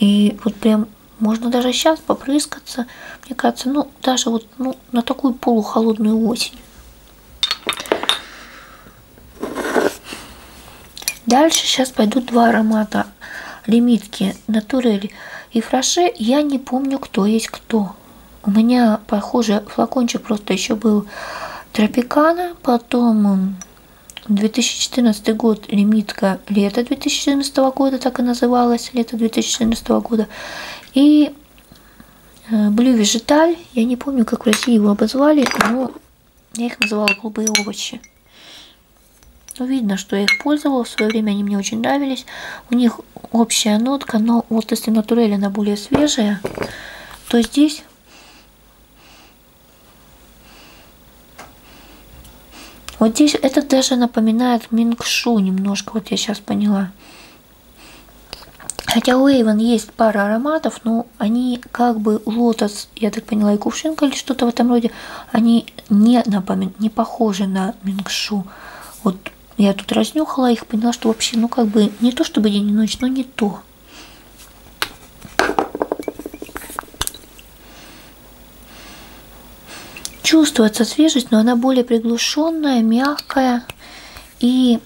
[SPEAKER 1] И вот прям можно даже сейчас попрыскаться, мне кажется, ну, даже вот ну, на такую полухолодную осень. Дальше сейчас пойдут два аромата лимитки Натурель и Фраше, я не помню, кто есть кто. У меня, похоже, флакончик просто еще был Тропикана, потом 2014 год лимитка лето 2014 года, так и называлась, лето 2014 года. И Блю э, Вежиталь, я не помню, как в России его обозвали, но я их называла голубые овощи. Ну, видно, что я их пользовала. В свое время они мне очень нравились. У них общая нотка, но вот если натурель она более свежая, то здесь Вот здесь это даже напоминает минкшу немножко, вот я сейчас поняла. Хотя у Эйвен есть пара ароматов, но они как бы лотос я так поняла, и кувшинка или что-то в этом роде, они не, напомин... не похожи на мингшу. Вот я тут разнюхала их, поняла, что вообще, ну как бы, не то чтобы день и ночь, но не то. Чувствуется свежесть, но она более приглушенная, мягкая и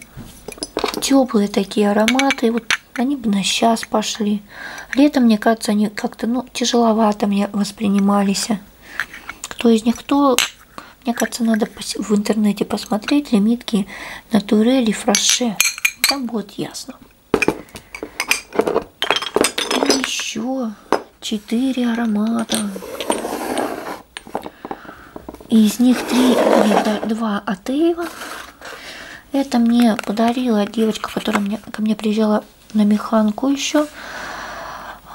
[SPEAKER 1] теплые такие ароматы. Вот они бы на сейчас пошли. Летом, мне кажется, они как-то, ну, тяжеловато мне воспринимались. Кто из них кто, мне кажется, надо в интернете посмотреть лимитки на турели фраше. Там будет ясно. И еще четыре аромата. И из них три, два от Эйва, это мне подарила девочка, которая мне, ко мне приезжала на механку еще.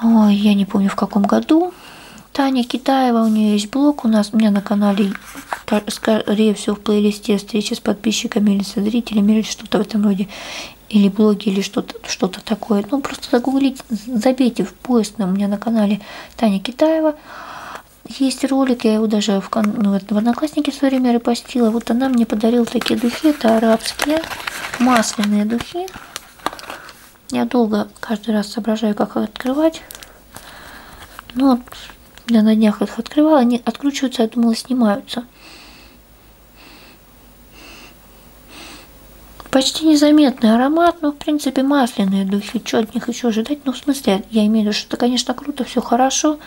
[SPEAKER 1] Ой, я не помню в каком году. Таня Китаева, у нее есть блог у нас, у меня на канале, скорее всего, в плейлисте встречи с подписчиками или со зрителями, или что-то в этом роде, или блоги, или что-то что, -то, что -то такое. Ну, просто загуглите, забейте в поиск на, у меня на канале Таня Китаева. Есть ролик, я его даже в, ну, в Одноклассники все время репостила. Вот она мне подарила такие духи, это арабские масляные духи. Я долго каждый раз соображаю, как их открывать. Но ну вот я на днях их открывала, они откручиваются, я думала, снимаются. Почти незаметный аромат, но в принципе масляные духи, что от них еще ожидать? Ну, в смысле, я имею в виду, что это, конечно, круто, все хорошо,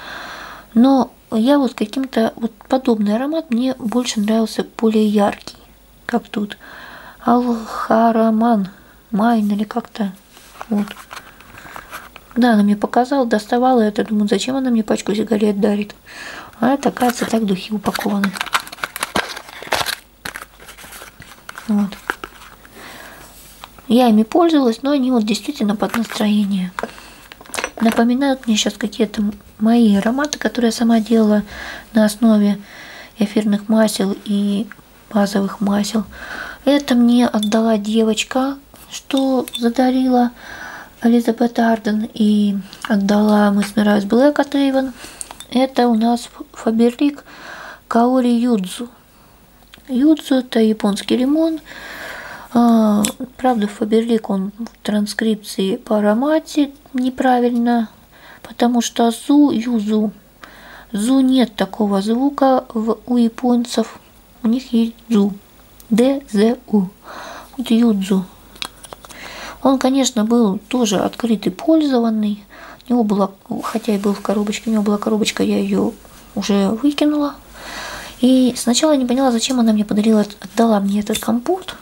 [SPEAKER 1] но я вот каким-то вот подобный аромат мне больше нравился более яркий, как тут. Алхараман, Майн или как-то. Вот. Да, она мне показала, доставала это. Думаю, зачем она мне пачку сигарет дарит? А это, оказывается, так духи упакованы. Вот. Я ими пользовалась, но они вот действительно под настроение. Напоминают мне сейчас какие-то мои ароматы, которые я сама делала на основе эфирных масел и базовых масел. Это мне отдала девочка, что задарила Элизабет Арден и отдала мы с Мирайс Блэк от Эйвен. Это у нас Фаберлик Каори Юдзу. Юдзу – это японский лимон. А, правда, Фаберлик, он в транскрипции по аромате неправильно, потому что зу, юзу, зу нет такого звука в, у японцев. У них есть зу. Д, З, У. Вот юдзу. Он, конечно, был тоже открытый, пользованный. У него была, хотя и был в коробочке, у него была коробочка, я ее уже выкинула. И сначала я не поняла, зачем она мне подарила, отдала мне этот компот.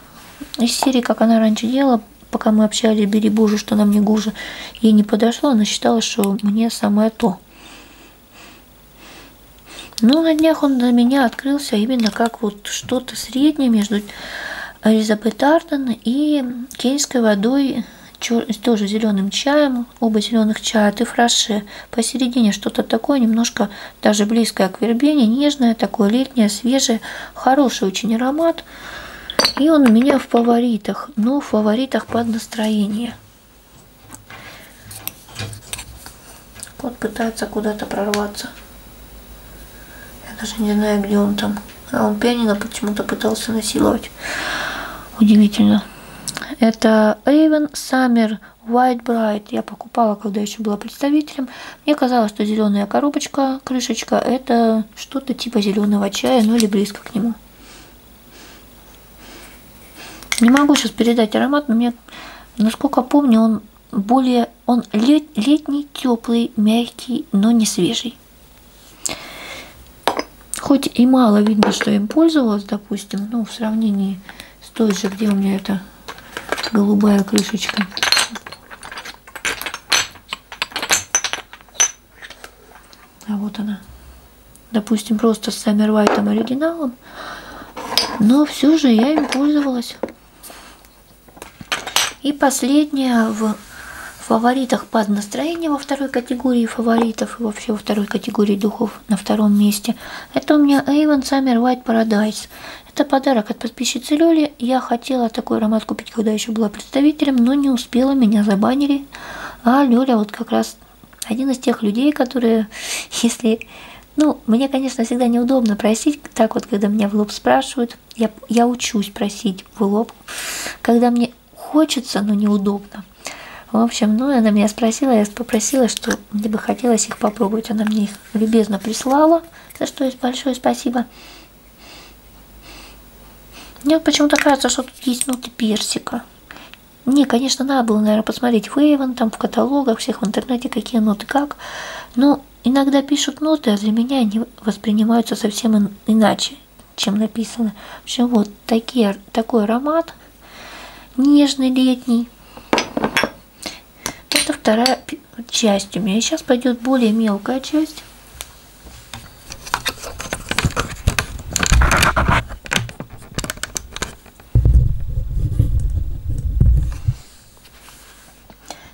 [SPEAKER 1] Из серии, как она раньше делала, пока мы общались, бери боже, что нам не гуже, ей не подошло, она считала, что мне самое то. Ну, на днях он для меня открылся именно как вот что-то среднее между Элизабет Арден и кенийской водой, чер... тоже зеленым чаем, оба зеленых чая, и фраше. Посередине что-то такое, немножко даже близкое к вербене, нежное, такое летнее, свежее, хороший очень аромат. И он у меня в фаворитах, но в фаворитах под настроение. Кот пытается куда-то прорваться. Я даже не знаю, где он там. А он пианино почему-то пытался насиловать. Удивительно. Это Эйвен Саммер White Bright я покупала, когда еще была представителем. Мне казалось, что зеленая коробочка, крышечка, это что-то типа зеленого чая, ну или близко к нему. Не могу сейчас передать аромат, но мне, насколько помню, он более, он лет, летний, теплый, мягкий, но не свежий. Хоть и мало видно, что я им пользовалась, допустим, ну, в сравнении с той же, где у меня это голубая крышечка. А вот она. Допустим, просто с Саммервайтом оригиналом. Но все же я им пользовалась. И последняя в фаворитах под настроение во второй категории фаворитов и вообще во второй категории духов цветов на втором месте. Это у меня Avon Summer White Paradise. Это подарок от подписчицы Лёли. Я хотела такой аромат купить, когда еще была представителем, но не успела, меня забанили. А Лёля вот как раз один из тех людей, которые, [laughs] если... Ну, мне, конечно, всегда неудобно просить, так вот, когда меня в лоб спрашивают, я, я учусь просить в лоб, когда мне хочется, но неудобно. В общем, ну, она меня спросила, я попросила, что тоже мне бы хотелось их попробовать. Она мне их любезно прислала, за что есть большое спасибо. Мне вот почему-то кажется, что тут есть ноты персика. Не, конечно, надо было, наверное, посмотреть в Эйвен, там в каталогах, всех в интернете, какие ноты как. Но иногда пишут ноты, а для меня они воспринимаются совсем иначе, чем написано. В общем, вот такие, такой аромат, нежный летний. Это вторая часть у меня. Сейчас пойдет более мелкая часть.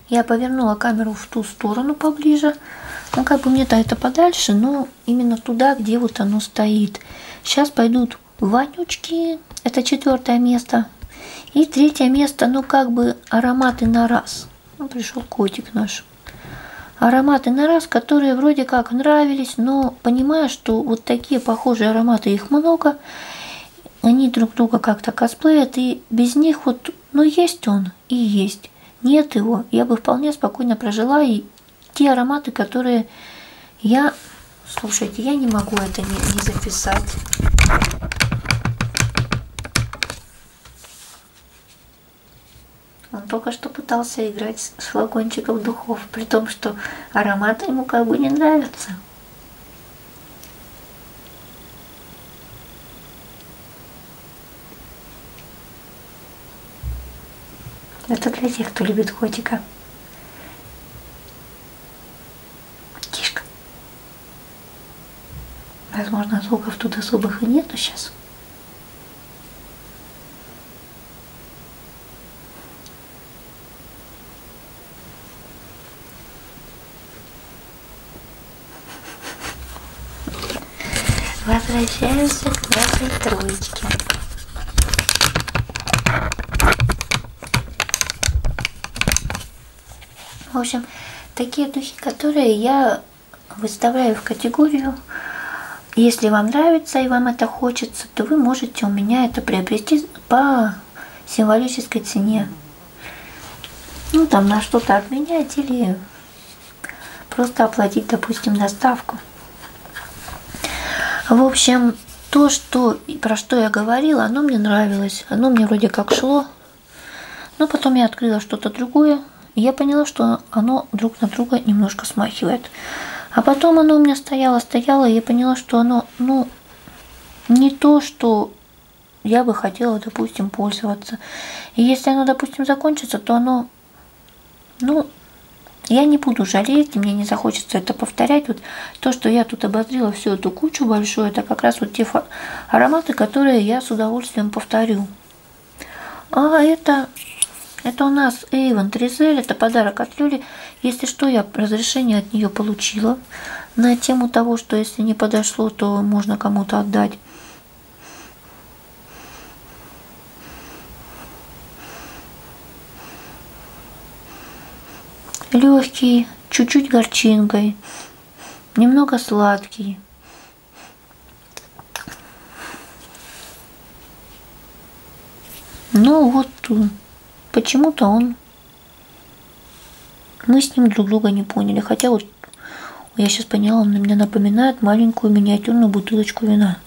[SPEAKER 1] Я повернула камеру в ту сторону поближе. Ну, как бы мне-то это подальше, но именно туда, где вот оно стоит. Сейчас пойдут вонючки, это четвертое место. И третье место, ну как бы ароматы на раз. Ну, пришел котик наш. Ароматы на раз, которые вроде как нравились, но понимая, что вот такие похожие ароматы, их много, они друг друга как-то косплеят, и без них вот, ну есть он и есть. Нет его, я бы вполне спокойно прожила, и те ароматы, которые я, слушайте, я не могу это не, не записать. Он только что пытался играть с флакончиков духов, при том, что аромат ему как бы не нравится. Это для тех, кто любит котика. Тишка. Возможно, звуков тут особых и нету сейчас. Возвращаемся к нашей троечке. В общем, такие духи, которые я выставляю в категорию если вам нравится и вам это хочется, то вы можете у меня это приобрести по символической цене. Ну, там на что-то обменять или просто оплатить, допустим, доставку. В общем, то, что, про что я говорила, оно мне нравилось. Оно мне вроде как шло. Но потом я открыла что-то другое. И я поняла, что оно друг на друга немножко смахивает. А потом оно у меня стояло, стояло, и я поняла, что оно, ну, не то, что я бы хотела, допустим, пользоваться. И если оно, допустим, закончится, то оно, ну, я не буду жалеть, мне не захочется это повторять. Вот то, что я тут обозрела всю эту кучу большую, это как раз вот те ароматы, которые я с удовольствием повторю. А это, это у нас Эйвен Тризель, это подарок от Люли. Если что, я разрешение от нее получила на тему того, что если не подошло, то можно кому-то отдать. Легкий, чуть-чуть горчинкой, немного сладкий. Ну вот почему-то он... Мы с ним друг друга не поняли. Хотя вот я сейчас поняла, он на меня напоминает маленькую миниатюрную бутылочку вина.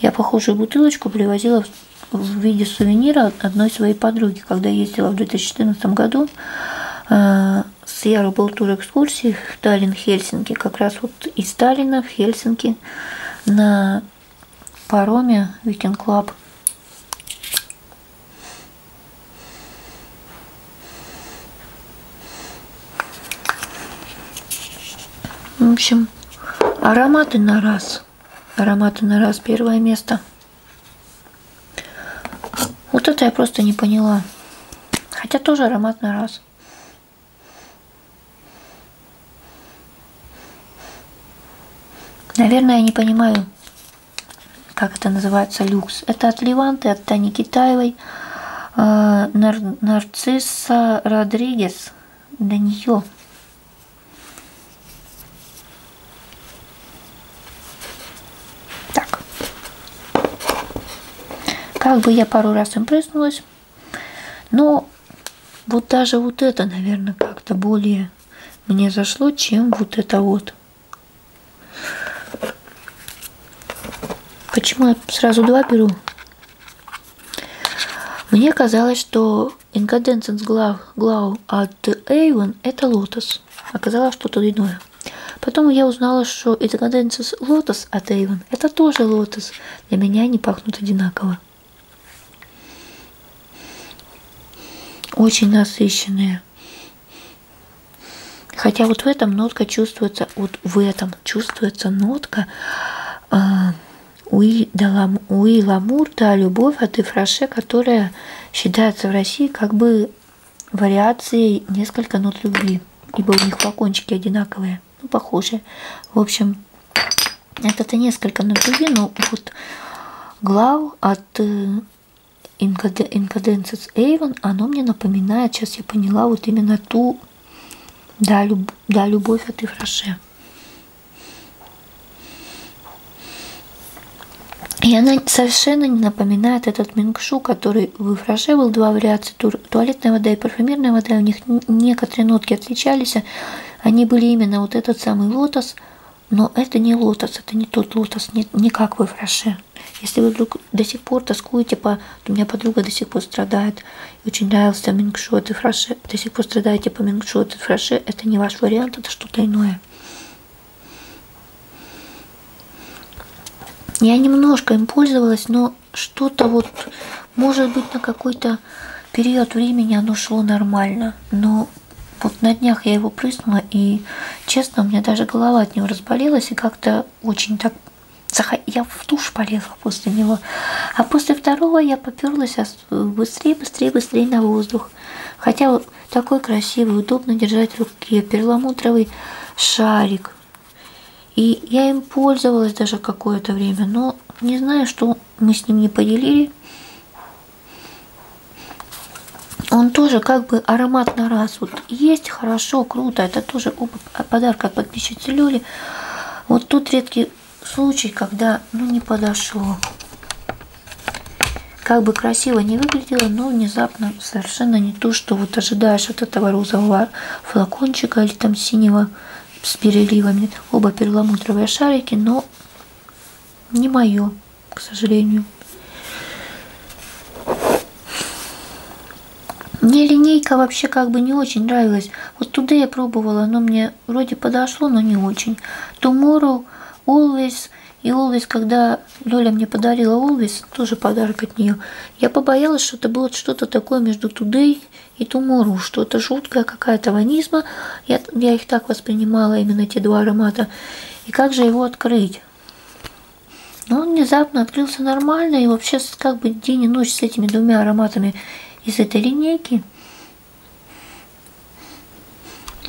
[SPEAKER 1] Я похожую бутылочку привозила в виде сувенира одной своей подруги, когда ездила в 2014 году. Э, с Яро был тур экскурсии в Таллин-Хельсинки, как раз вот из Таллина в Хельсинки на пароме Weekend Club. В общем, ароматы на раз. Ароматы на раз первое место. Вот это я просто не поняла. Хотя тоже ароматный раз. Наверное, я не понимаю, как это называется, люкс. Это от Леванты, от Тани Китаевой, э, Нар Нарцисса Родригес. До нее так. Как бы я пару раз им прыснулась. Но вот даже вот это, наверное, как-то более мне зашло, чем вот это вот. Почему я сразу два беру? Мне казалось, что Инкаденцинс глав, глав от Эйвен – это лотос. Оказалось, что-то иное. Потом я узнала, что Инкаденцинс лотос от Эйвен – это тоже лотос. Для меня они пахнут одинаково. Очень насыщенные. Хотя вот в этом нотка чувствуется, вот в этом чувствуется нотка э, Уи, да, лам, Уи Амур, да, любовь от а Ифраше, которая считается в России как бы вариацией несколько нот любви, ибо у них флакончики одинаковые, ну, похожие. В общем, это-то несколько нот любви, но вот глав от э, Incadence Avon, оно мне напоминает, сейчас я поняла, вот именно ту, да, люб, да любовь от а Ифраше. И она совершенно не напоминает этот мингшу, который в фраже был два вариации туалетная вода и парфюмерная вода. У них некоторые нотки отличались. А они были именно вот этот самый лотос, но это не лотос, это не тот лотос, не, не как в фраше. Если вы вдруг до сих пор тоскуете по... У меня подруга до сих пор страдает. И очень нравился мингшу от фраше. До сих пор страдаете по мингшу от фраше. Это не ваш вариант, это что-то иное такая. Я немножко им пользовалась, но что-то вот, может быть, на какой-то период времени оно шло нормально. Но вот на днях я его прыснула, и, честно, у меня даже голова от него разболелась, и как-то очень так... Я в душ полезла после него. А после второго я поперлась Э, быстрее, быстрее, быстрее на воздух. Хотя вот такой красивый, удобно держать в руке, перламутровый шарик. И я им пользовалась даже какое-то время, но не знаю, что мы с ним не поделили. Он тоже как бы аромат на раз. Вот есть, хорошо, круто. Это тоже оба э, подарка от подписчицы Люли. Вот тут редкий случай, когда ну, не подошло. Как бы красиво не выглядело, но внезапно совершенно не то, что вот ожидаешь от этого розового флакончика или там синего с переливами. Оба перламутровые шарики, но не мое, к сожалению. Мне линейка вообще как бы не очень нравилась. Вот туда я пробовала, но мне мне вроде подошло, но не очень. Tomorrow, Always и Always, когда Доля мне подарила Always, тоже подарок от нее, я побоялась, что это было что-то такое между Today и Tomorrow, что-то жуткое, какая-то ванизма. Я, я их так воспринимала, именно эти два аромата. И как же его открыть? Но он внезапно открылся нормально, и вообще как бы день и ночь с этими двумя ароматами из этой линейки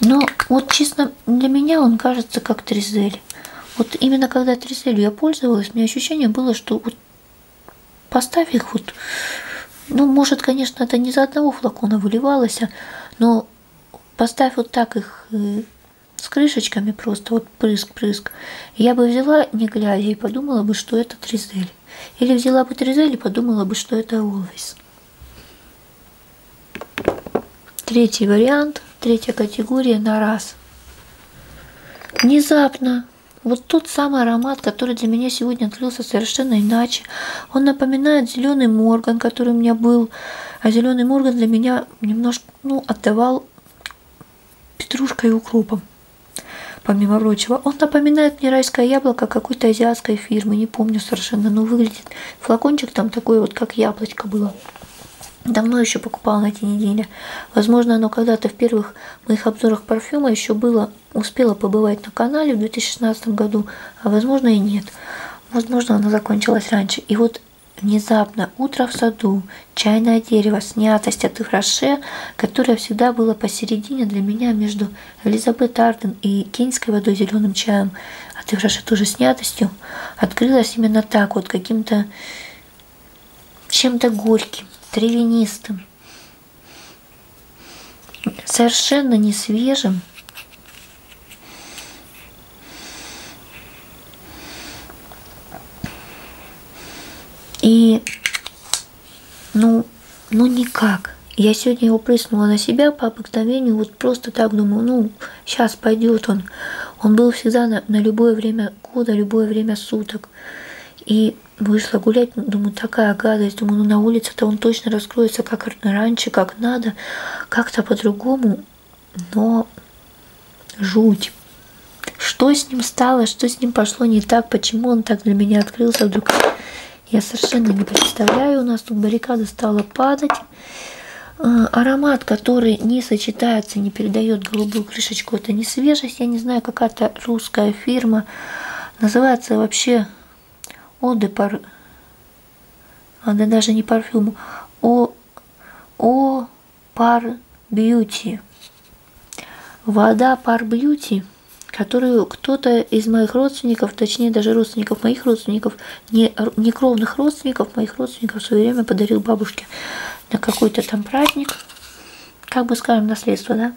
[SPEAKER 1] но вот честно, для меня он кажется как тризель. Вот именно когда тризелью я пользовалась, у меня ощущение было, что вот поставь их вот, ну, может, конечно, это не за одного флакона выливалось, а, но поставь вот так их э, с крышечками просто, вот прыск-прыск, я бы взяла, не глядя, и подумала бы, что это тризель. Или взяла бы тризель и подумала бы, что это Always. Третий вариант, третья категория на раз. Внезапно вот тот самый аромат, который для меня сегодня открылся совершенно иначе. Он напоминает зеленый морган, который у меня был. А зеленый морган для меня немножко, ну, отдавал петрушкой и укропом. Помимо прочего, он напоминает мне райское яблоко какой-то азиатской фирмы, не помню совершенно, но выглядит приносит. Флакончик там такой вот, как яблочко было. Давно еще покупала на эти недели. Возможно, оно когда-то в первых моих обзорах парфюма еще было, успело побывать на канале в 2016 году, а возможно и нет. Возможно, оно закончилось раньше. И вот внезапно утро в саду, чайное дерево, снятость от их роше, которое всегда было посередине для меня между Элизабет Арден и кенийской водой зеленым чаем, отыгравшая а ту же снятостью, открылась именно так, вот каким-то чем-то горьким, травянистым, совершенно не свежим. И, ну, ну никак. Я сегодня его прыснула на себя по обыкновению, вот вот просто так думал, ну, сейчас пойдет он. Он был всегда на, на любое время года, любое время суток. И вышла гулять, ну, думаю, такая гадость, думаю, ну на улице-то он точно раскроется, как раньше, как надо, как-то по-другому, но жуть. Что с ним стало, что с ним пошло не так, почему он так для меня открылся вдруг? Я совершенно не представляю, у нас тут баррикада стала падать. А, аромат, который не сочетается, не передает голубую крышечку, это не свежесть. Я не знаю, какая-то русская фирма. Называется вообще Оде пар... А, да даже не парфюм. О... О... Пар Бьюти. Вода Пар Бьюти, которую кто-то из моих родственников, точнее даже родственников моих родственников, некровных родственников, моих родственников в свое время подарил бабушке на какой-то там праздник. Как бы скажем, наследство, да?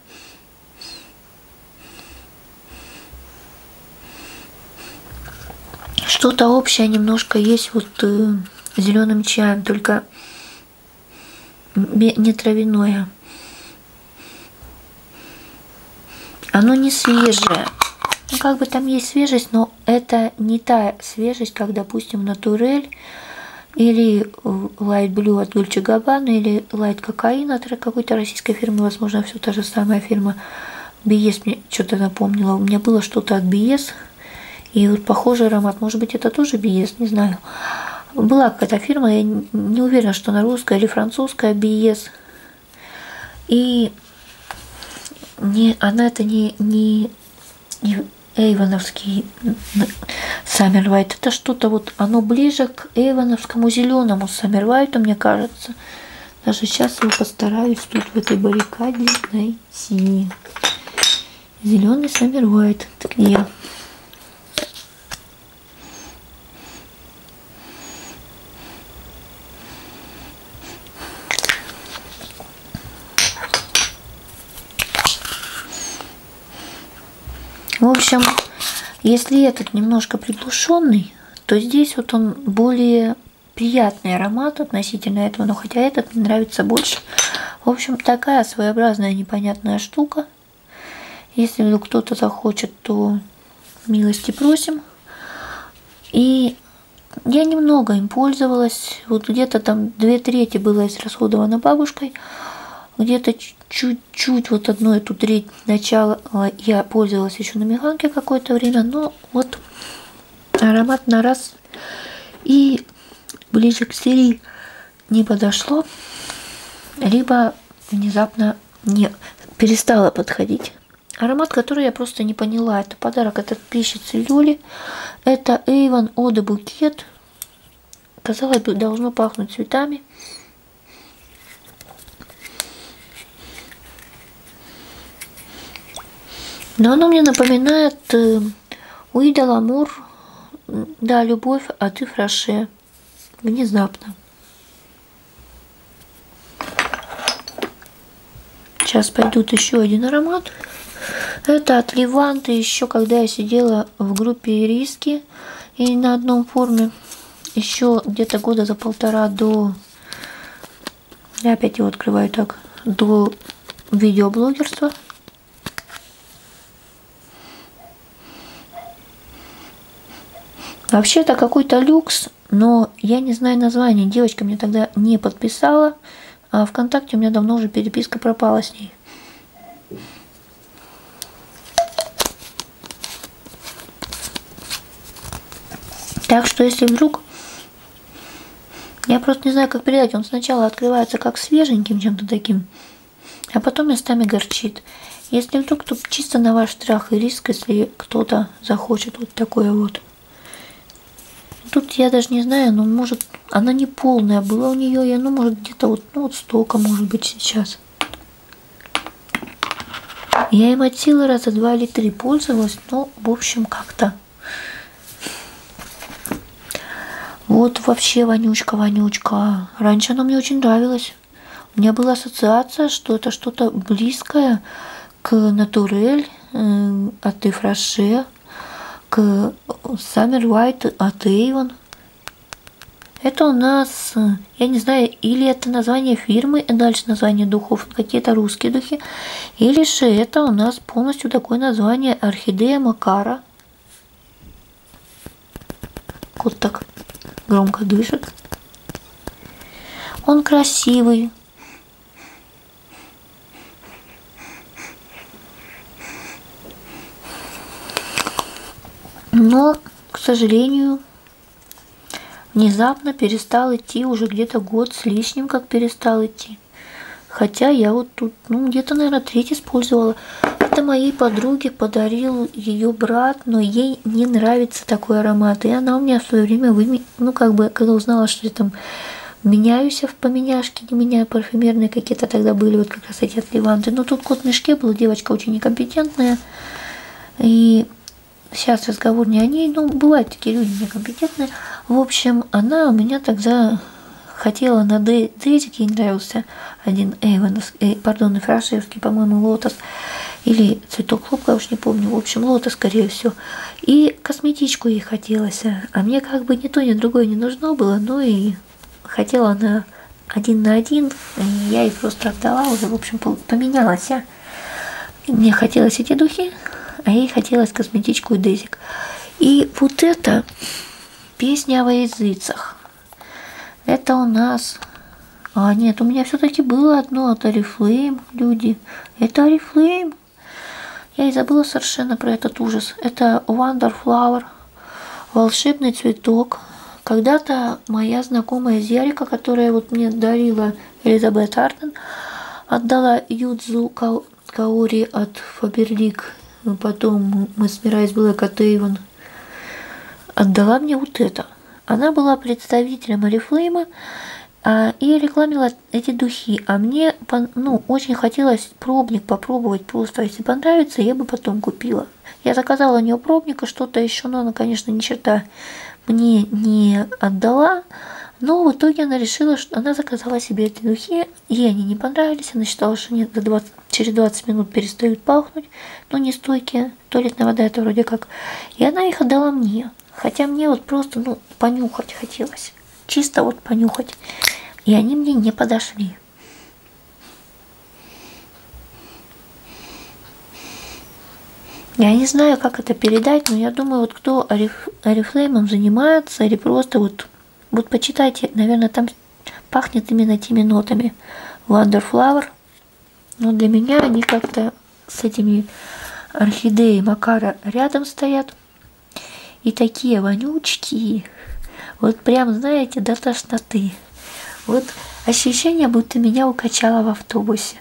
[SPEAKER 1] Что-то общее немножко есть вот э, зеленым чаем, только не травяное. Оно не свежее. Ну, как бы там есть свежесть, но это не та свежесть, как, допустим, натурель или э, Light Blue от Dolce Gabbana, или Light Cocaine от какой-то российской фирмы, возможно, все та же самая фирма. BS e мне что-то напомнила. У меня было что-то от BS, e и вот похожий аромат. Может быть, это тоже BS, e не знаю. Была какая-то фирма, я не уверена, что она русская или французская BS. И не, она это не, не, не Эйвоновский Саммервайт. Это что-то вот, оно ближе к Эйвоновскому зеленому Саммервайту, мне кажется. Даже сейчас я постараюсь тут в этой баррикаде найти. Зеленый Саммервайт. Ты где? В общем, если этот немножко приглушенный, то здесь вот он более приятный аромат относительно этого, но хотя этот мне нравится больше. В общем, такая своеобразная непонятная штука. Если вдруг кто-то захочет, то милости просим. И я немного им пользовалась, вот где-то там две трети было израсходовано бабушкой, где-то чуть-чуть вот одну эту треть начала а, я пользовалась еще на меганке какое-то время, но ну, вот аромат на раз и ближе к серии не подошло, либо внезапно не перестала подходить. Аромат, который я просто не поняла, это подарок от подписчицы Люли. Это Avon Ода Букет. Казалось бы, должно пахнуть цветами. Но оно мне напоминает Уида э, Ламур, да, любовь, а ты фраше. Внезапно. Сейчас пойдут еще один аромат. Это от Леванта еще, когда я сидела в группе риски и на одном форуме. Еще где-то года за полтора до... Я опять его открываю так. До видеоблогерства. Вообще это какой-то люкс но я не знаю название. Девочка мне тогда не подписала, а ВКонтакте у меня давно уже переписка пропала с ней. Так что если вдруг... Я просто не знаю, как передать. Он сначала открывается как свеженьким чем-то таким, а потом местами горчит. Если вдруг, то чисто на ваш страх и риск, если кто-то захочет вот такое вот. Тут я даже не знаю, но ну, может она не полная была у нее, и она может где-то вот, ну вот столько может быть сейчас. Я им от силы раза два или три пользовалась, но в общем как-то. Вот вообще вонючка-вонючка. Раньше она мне очень нравилась. У меня была ассоциация, что это что-то близкое к натурель э, от Ифраше, к Саммер Уайт от Эйвен. Это у нас, я не знаю, или это название фирмы, и а дальше название духов, какие-то русские духи, или же это у нас полностью такое название Орхидея Макара. Кот так громко дышит. Он красивый, но, к сожалению, внезапно перестал идти уже где-то год с лишним, как перестал идти. Хотя я вот тут, ну, где-то, наверное, треть использовала. Это моей подруге подарил ее брат, но ей не нравится такой аромат. И она у меня в свое время вы и, ну, как бы, когда узнала, что я там меняюсь в поменяшке, не меняю парфюмерные какие-то тогда были, вот как раз эти от Леванты. Но тут кот в мешке был, девочка очень некомпетентная, и сейчас разговор не о ней, ну, бывают такие люди некомпетентные. В общем, она у меня тогда хотела на Дейзик, ей нравился один Эйвен, э, пардон, Фрашевский, по-моему, Лотос, или или цветок хлопка, я уж не помню, в общем, лота, скорее всего. И косметичку ей хотелось, а, а мне как бы ни то, ни другое не нужно было, ну и хотела она один на один, и я ей просто отдала, уже, в общем, поменялась. А? Мне хотелось эти духи, а ей хотелось косметичку и дезик. И вот это песня о языцах. Это у нас... А, нет, у меня все-таки было одно от Oriflame, люди. Это Oriflame. Я и забыла совершенно про этот ужас. Это Wonderflower, волшебный цветок. Когда-то моя знакомая Зерика, которая вот мне дарила Элизабет Арден, отдала Юдзу Каори от Фаберлик. Потом мы с Мирай с Блэк от Эйвен. Отдала мне вот это. Она была представителем Орифлейма а, и рекламила эти духи. А мне ну, очень хотелось пробник попробовать просто. Если понравится, я бы потом купила. Я заказала у нее пробника, что-то еще, но она, конечно, ни черта мне не отдала. Но в итоге она решила, что она заказала себе эти духи. Ей они не понравились. Она считала, что они до 20, через 20 минут перестают пахнуть. Но не стойкие. Туалетная вода это вроде как. И она их отдала мне. Хотя мне вот просто, ну, понюхать хотелось. Чисто вот понюхать. И они мне не подошли. Я не знаю, как это передать, но я думаю, вот кто ариф, арифлеймом занимается, или просто вот, вот почитайте, наверное, там пахнет именно теми нотами. Wonderflower. Но для меня они как-то с этими орхидеи Макара рядом стоят. И такие вонючки. Вот прям, знаете, до тошноты. Вот ощущение, будто меня укачало в автобусе,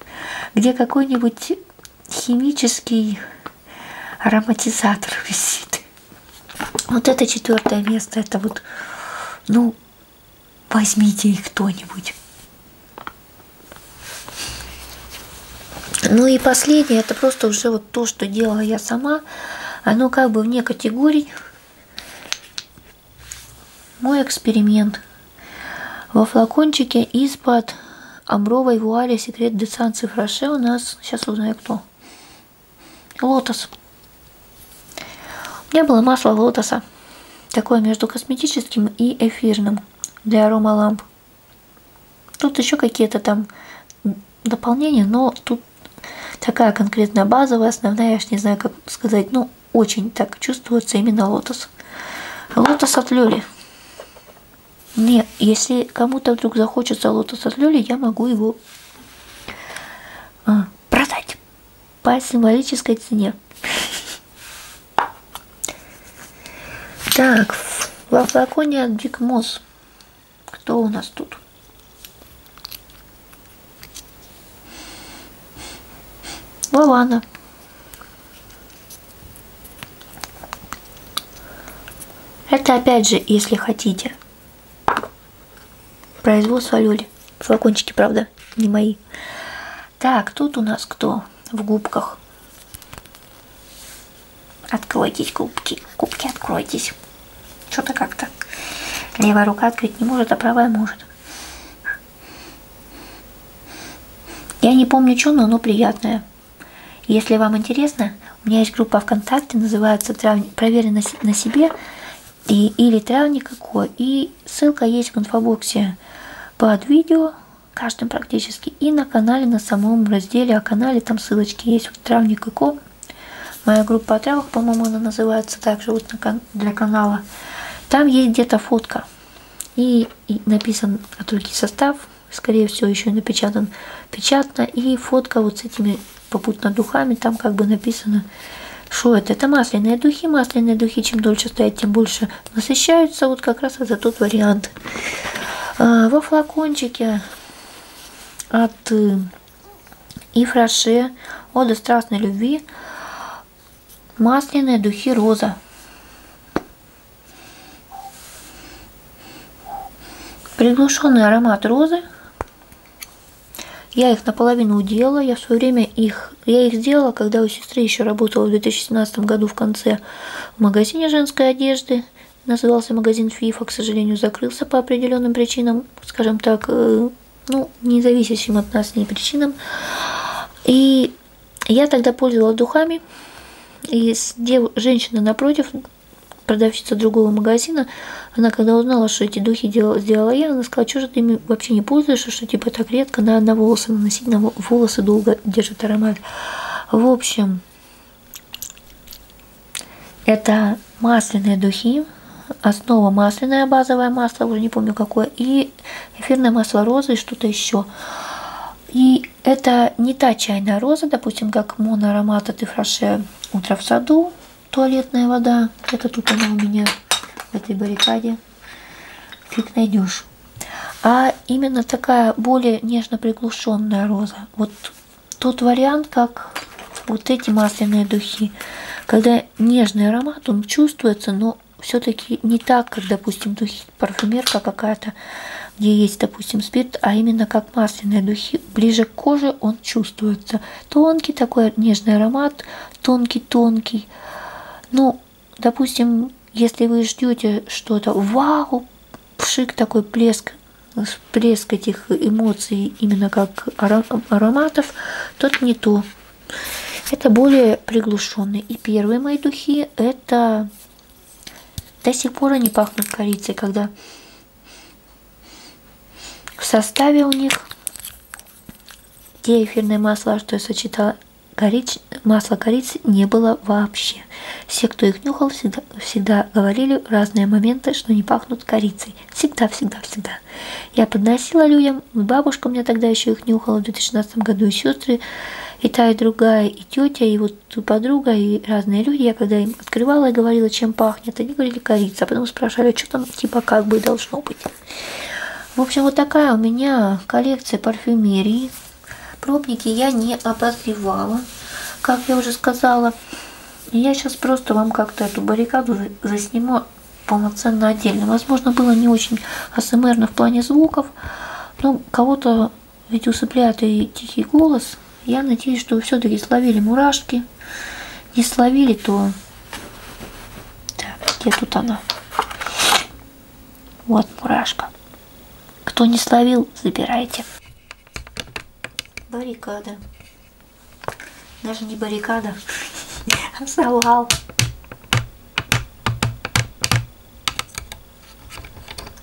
[SPEAKER 1] где какой-нибудь химический ароматизатор [laughs] висит. Вот это четвертое место, это вот, ну, возьмите их кто-нибудь. Ну и последнее, это просто уже вот то, что делала я сама, оно как бы вне категорий. Мой эксперимент. Во флакончике из-под амбровой вуали секрет де Сан-Цифраше у нас, сейчас узнаю кто, лотос. У меня было масло лотоса, такое между косметическим и эфирным для аромаламп там. Тут еще какие-то там дополнения, но тут такая конкретная базовая, основная, я ж не знаю, как сказать, ну, очень так чувствуется именно лотос. Лотос от Лёли. Не, если кому-то вдруг захочется лотос от Лёли, я могу его а, продать по символической цене. Так, во флаконе от Биг Мосс. Кто у нас тут? Лавана. Это опять же, если хотите. Производство Люли. Флакончики, правда, не мои. Так, тут у нас кто в губках? Откройтесь, губки. Губки, откройтесь. Что-то как-то. Левая рука открыть не может, а правая может. Я не помню, что, но оно приятное. Если вам интересно, у меня есть группа ВКонтакте, называется «Травник, «Проверено на себе» и, или «Травник какой». И ссылка есть в инфобоксе под видео каждым практически. И на канале, на самом разделе о а канале, там ссылочки есть, вот травник и ко. Моя группа о травах, по-моему, она называется также вот на, для канала. Там есть где-то фотка. И, и написан готовый состав, скорее всего, еще и напечатан печатно. И фотка вот с этими попутно духами, там как бы написано, что это? Это масляные духи. Масляные духи, чем дольше стоят, тем больше насыщаются вот как раз это тот вариант. А, во флакончике от э, Ифраше «Ода страстной любви» масляные духи роза. Приглушенный аромат розы. Я их наполовину удела. Я в свое время их... Я их сделала, когда у сестры еще работала в 2017 году в конце в магазине женской одежды назывался магазин FIFA, к сожалению, закрылся по определенным причинам, скажем так, э, ну, не зависящим от нас ни причинам. И я тогда пользовалась духами, и дев... женщина напротив, продавщица другого магазина, она когда узнала, что эти духи делала, сделала я, она сказала, что же ты ими вообще не пользуешься, что типа так редко, на, на волосы наносить, на волосы долго держит аромат. В общем, это масляные духи, основа масляное базовое масло, уже не помню какое, и эфирное масло розы и что-то еще. И это не та чайная роза, допустим, как моноаромат от Ифраше «Утро в саду», туалетная вода, это тут она у меня в этой баррикаде фиг найдешь. А именно такая более нежно приглушенная роза. Вот тот вариант, как вот эти масляные духи, когда нежный аромат, он чувствуется, но все-таки не так, как, допустим, духи парфюмерка какая-то, где есть, допустим, спирт, а именно как масляные духи, ближе к коже он чувствуется. Тонкий такой нежный аромат, тонкий-тонкий. Ну, Допустим, если вы ждете что-то, вау, пшик такой плеск, всплеск этих эмоций именно как ароматов, тот не то. Это более приглушенные. И первые мои духи это до сих пор они пахнут корицей, когда в составе у них те эфирное масло, что я сочетала, корич... масла корицы не было вообще. Все, кто их нюхал, всегда, всегда говорили в разные моменты, что не пахнут корицей. Всегда, всегда, всегда. Я подносила людям, бабушка у меня тогда еще их нюхала в 2016 году, и сестры, и та, и другая, и тетя, и вот подруга, и разные люди. Я когда им открывала и говорила, чем пахнет, они говорили корица, а потом спрашивали, «А что там типа как бы должно быть. В общем, вот такая у меня коллекция парфюмерии. Пробники я не обозревала, как я уже сказала. Я сейчас просто вам как-то эту баррикаду засниму полноценно отдельно. Возможно, было не очень асмрно в плане звуков, но кого-то ведь усыпляет и тихий голос. Я надеюсь, что все-таки словили мурашки. Не словили, то... Так, где тут она? Вот мурашка. Кто не словил, забирайте. Баррикада. Даже не баррикада, а завал.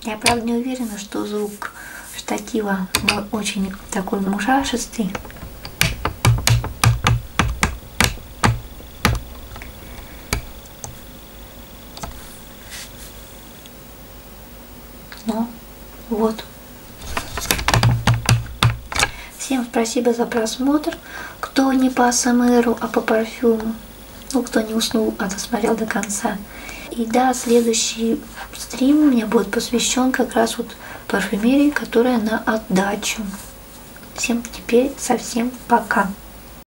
[SPEAKER 1] Я правда не уверена, что звук штатива очень такой мушашистый. Ну, вот. Всем спасибо за просмотр. Кто не по АСМРу, а по парфюму. Ну, кто не уснул, а досмотрел до конца. И да, следующий стрим у меня будет посвящен как раз вот парфюмерии, которая на отдачу. Всем теперь совсем пока.